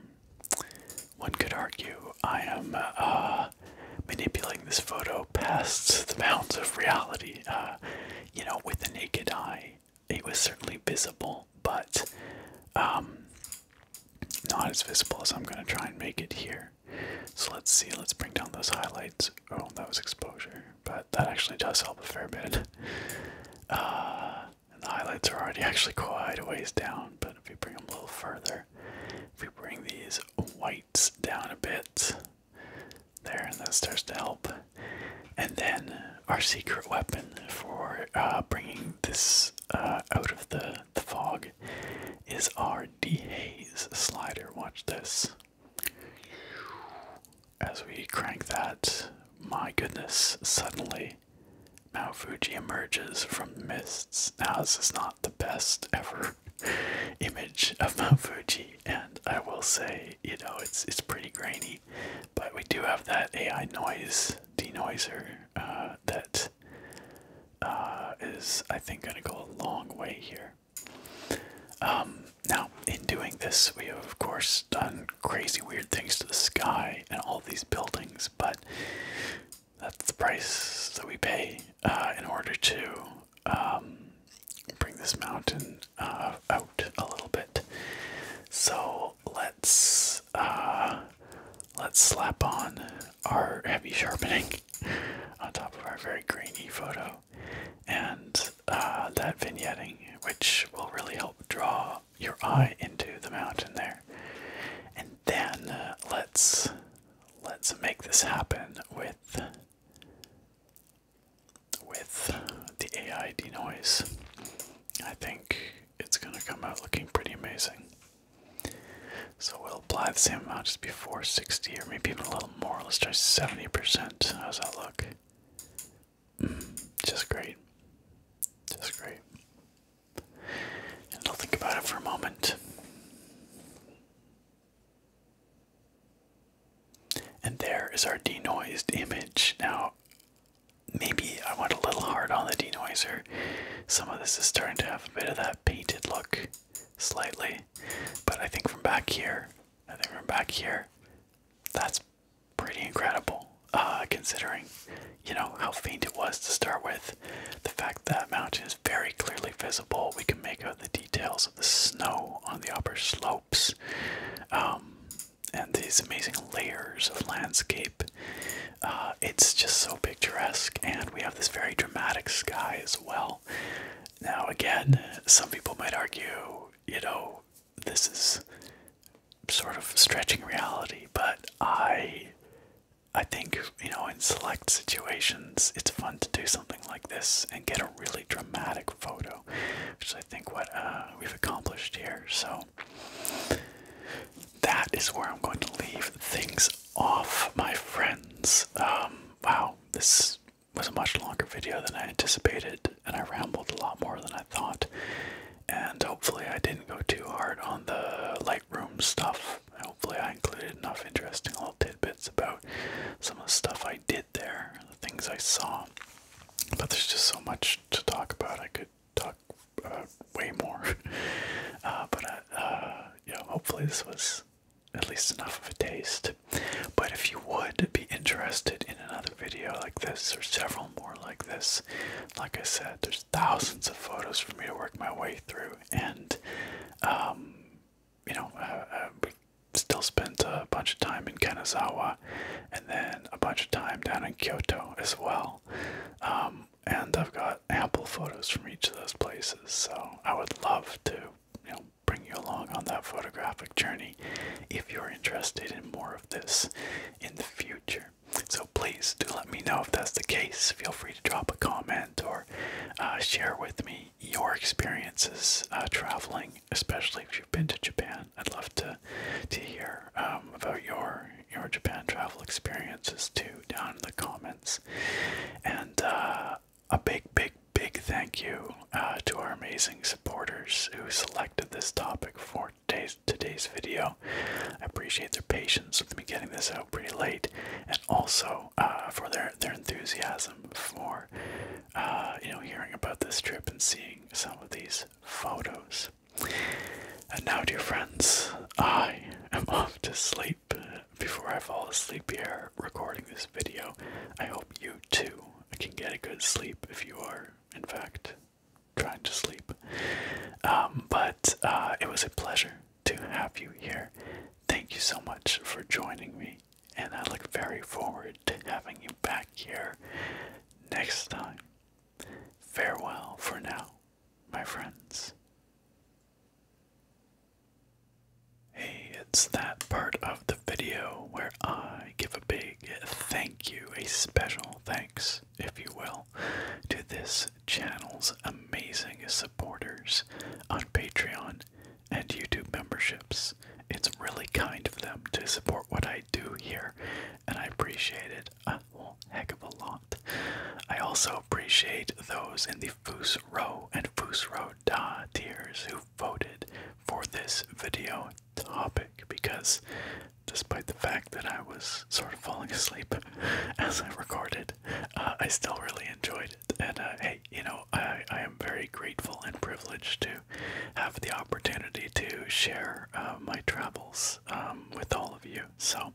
one could argue I am uh, manipulating this photo past the bounds of reality. Uh, you know, with the naked eye, it was certainly visible, but um, not as visible as I'm going to try and make it here. So let's see, let's bring down those highlights. Oh, that was exposure, but that actually does help a fair bit. Uh, the highlights are already actually quite a ways down, but if we bring them a little further, if we bring these whites down a bit, there, and that starts to help. And then our secret weapon for uh, bringing this uh, out of the, the fog is our dehaze slider. Watch this. As we crank that, my goodness, suddenly Mount Fuji emerges from mists. Now, this is not the best ever image of Mount Fuji, and I will say, you know, it's it's pretty grainy, but we do have that AI noise denoiser uh, that uh, is, I think, going to go a long way here. Um, now, in doing this, we have, of course, done crazy weird things to the sky and all these buildings, but that's the price that we pay uh, in order to um, bring this mountain uh, out a little bit. So let's uh, let's slap on our heavy sharpening on top of our very grainy photo and uh, that vignetting, which will really help draw your eye into the mountain there. And then uh, let's let's make this happen with with the AI denoise. I think it's gonna come out looking pretty amazing. So we'll apply the same amount just before, 60 or maybe even a little little more. Let's try 70%. How's that look? Mm, just great. Just great. And I'll think about it for a moment. And there is our denoised image. Now, maybe I went a little hard on the denoiser. Some of this is starting to have a bit of that painted look, slightly. But I think from back here, I think we're back here. That's pretty incredible, uh, considering, you know, how faint it was to start with. The fact that mountain is very clearly visible, we can make out the details of the snow on the upper slopes, um, and these amazing layers of landscape. Uh, it's just so picturesque, and we have this very dramatic sky as well. Now, again, some people might argue, you know, this is sort of stretching reality, but I. I think, you know, in select situations, it's fun to do something like this and get a really dramatic photo, which I think, what uh, we've accomplished here. So, that is where I'm going to leave things off, my friends. Um, wow, this was a much longer video than I anticipated, and I rambled a lot more than I thought. And hopefully, I didn't go too hard on the Lightroom stuff. Hopefully, I included enough interesting little tidbits about some of the stuff I did there, the things I saw. But there's just so much to talk about. I could talk uh, way more. Uh, but, I, uh, uh, hopefully, this was at least enough of a taste. But if you would be interested in another video like this, or several more like this, like I said, there's thousands of photos for me to work my way through, and um, you know, uh, uh we still spent a bunch of time in Kenosawa, and then a bunch of time down in Kyoto as well. Um, and I've got ample photos from each of those places, so I would love to you know bring you along on that photographic journey if you're interested in more of this in the future. So please do let me know if that's the case. Feel free to drop a comment or uh, share with me your experiences uh, traveling, especially if you've been to Japan. I'd love to to hear um, about your your Japan travel experiences too down in the comments. And uh, a big, big, big thank you uh, to our amazing supporters who selected this topic for today's, video. I appreciate their patience with me getting this out pretty late, and also uh, for their their enthusiasm for uh, you know hearing about this trip and seeing some of these photos. And now, dear friends, I am off to sleep. Before I fall asleep here recording this video, I hope you too, I can get a good sleep if you are, in fact, trying to sleep. Um, but uh, it was a pleasure to have you here. Thank you so much for joining me, and I look very forward to having you back here next time. Farewell for now, my friends. Hey, it's that part of the video where I give a big thank you, a special thanks, if you will, to this channel's amazing supporters on Patreon and YouTube memberships. It's really kind of them to support what I do here, and I appreciate it a whole heck of a lot. I also appreciate those in the Foos Row and Foos Row Da tiers who voted for this video topic because despite the fact that I was sort of falling asleep as I recorded, uh, I still really enjoyed it. And uh, hey, you know, I, I am very grateful and privileged to have the opportunity to share uh, my travels um, with all of you. So,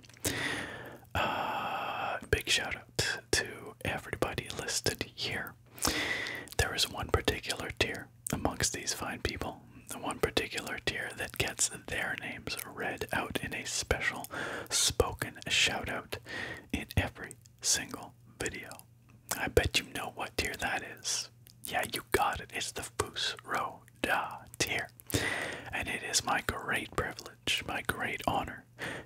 uh, big shout out to everybody listed here. There is one particular tier amongst these fine people, the one particular tier that gets their names read out in a special spoken shout out in every single video. I bet you know what tier that is. Yeah, you got it. It's the Foos Row tier. And it is my great privilege, my great honor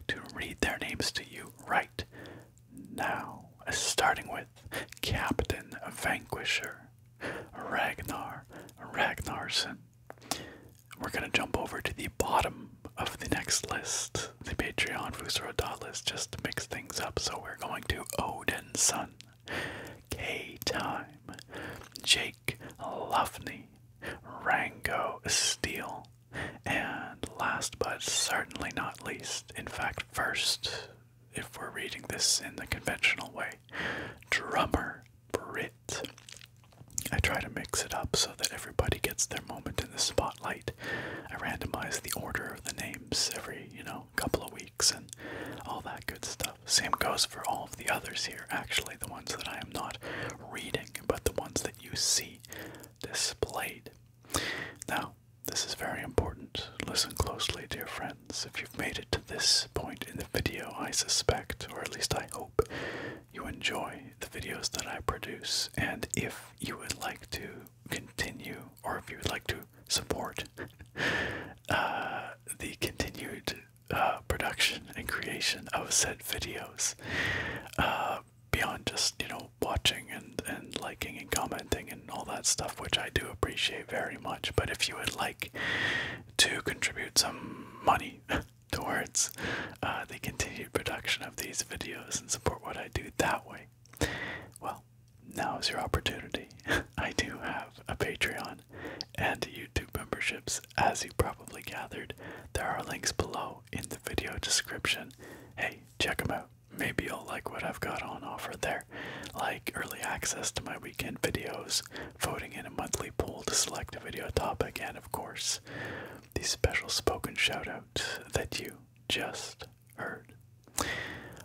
to read their names to you right now, starting with Captain Vanquisher, Ragnar Ragnarson, We're going to jump over to the bottom of the next list, the Patreon Fusro dot list, just to mix things up. So we're going to Odin's Son, K Time, Jake Luffney, Rango Steele, and last but certainly not least, in fact, first, if we're reading this in the conventional way, drummer Brit. I try to mix it up so that everybody gets their moment in the spotlight. I randomize the order of the names every, you know, couple of weeks and all that good stuff. Same goes for all of the others here, actually, the ones that I am not reading, but the ones that you see displayed. Now, this is very important. Listen closely, dear friends. If you've made it to this point in the video, I suspect, or at least I hope, you enjoy the videos that I produce. And if you would like to continue, or if you would like to support uh, the continued uh, production and creation of said videos, uh, beyond just you know watching and and liking and commenting and all that stuff which i do appreciate very much but if you would like to contribute some money towards uh, the continued production of these videos and support what i do that way well now is your opportunity i do have a patreon and youtube memberships as you probably gathered there are links below in the video description hey check them out maybe you'll like what I've got on offer there, like early access to my weekend videos, voting in a monthly poll to select a video topic, and of course, the special spoken shout out that you just heard.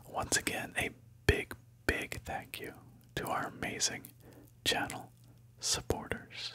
Once again, a big, big thank you to our amazing channel supporters.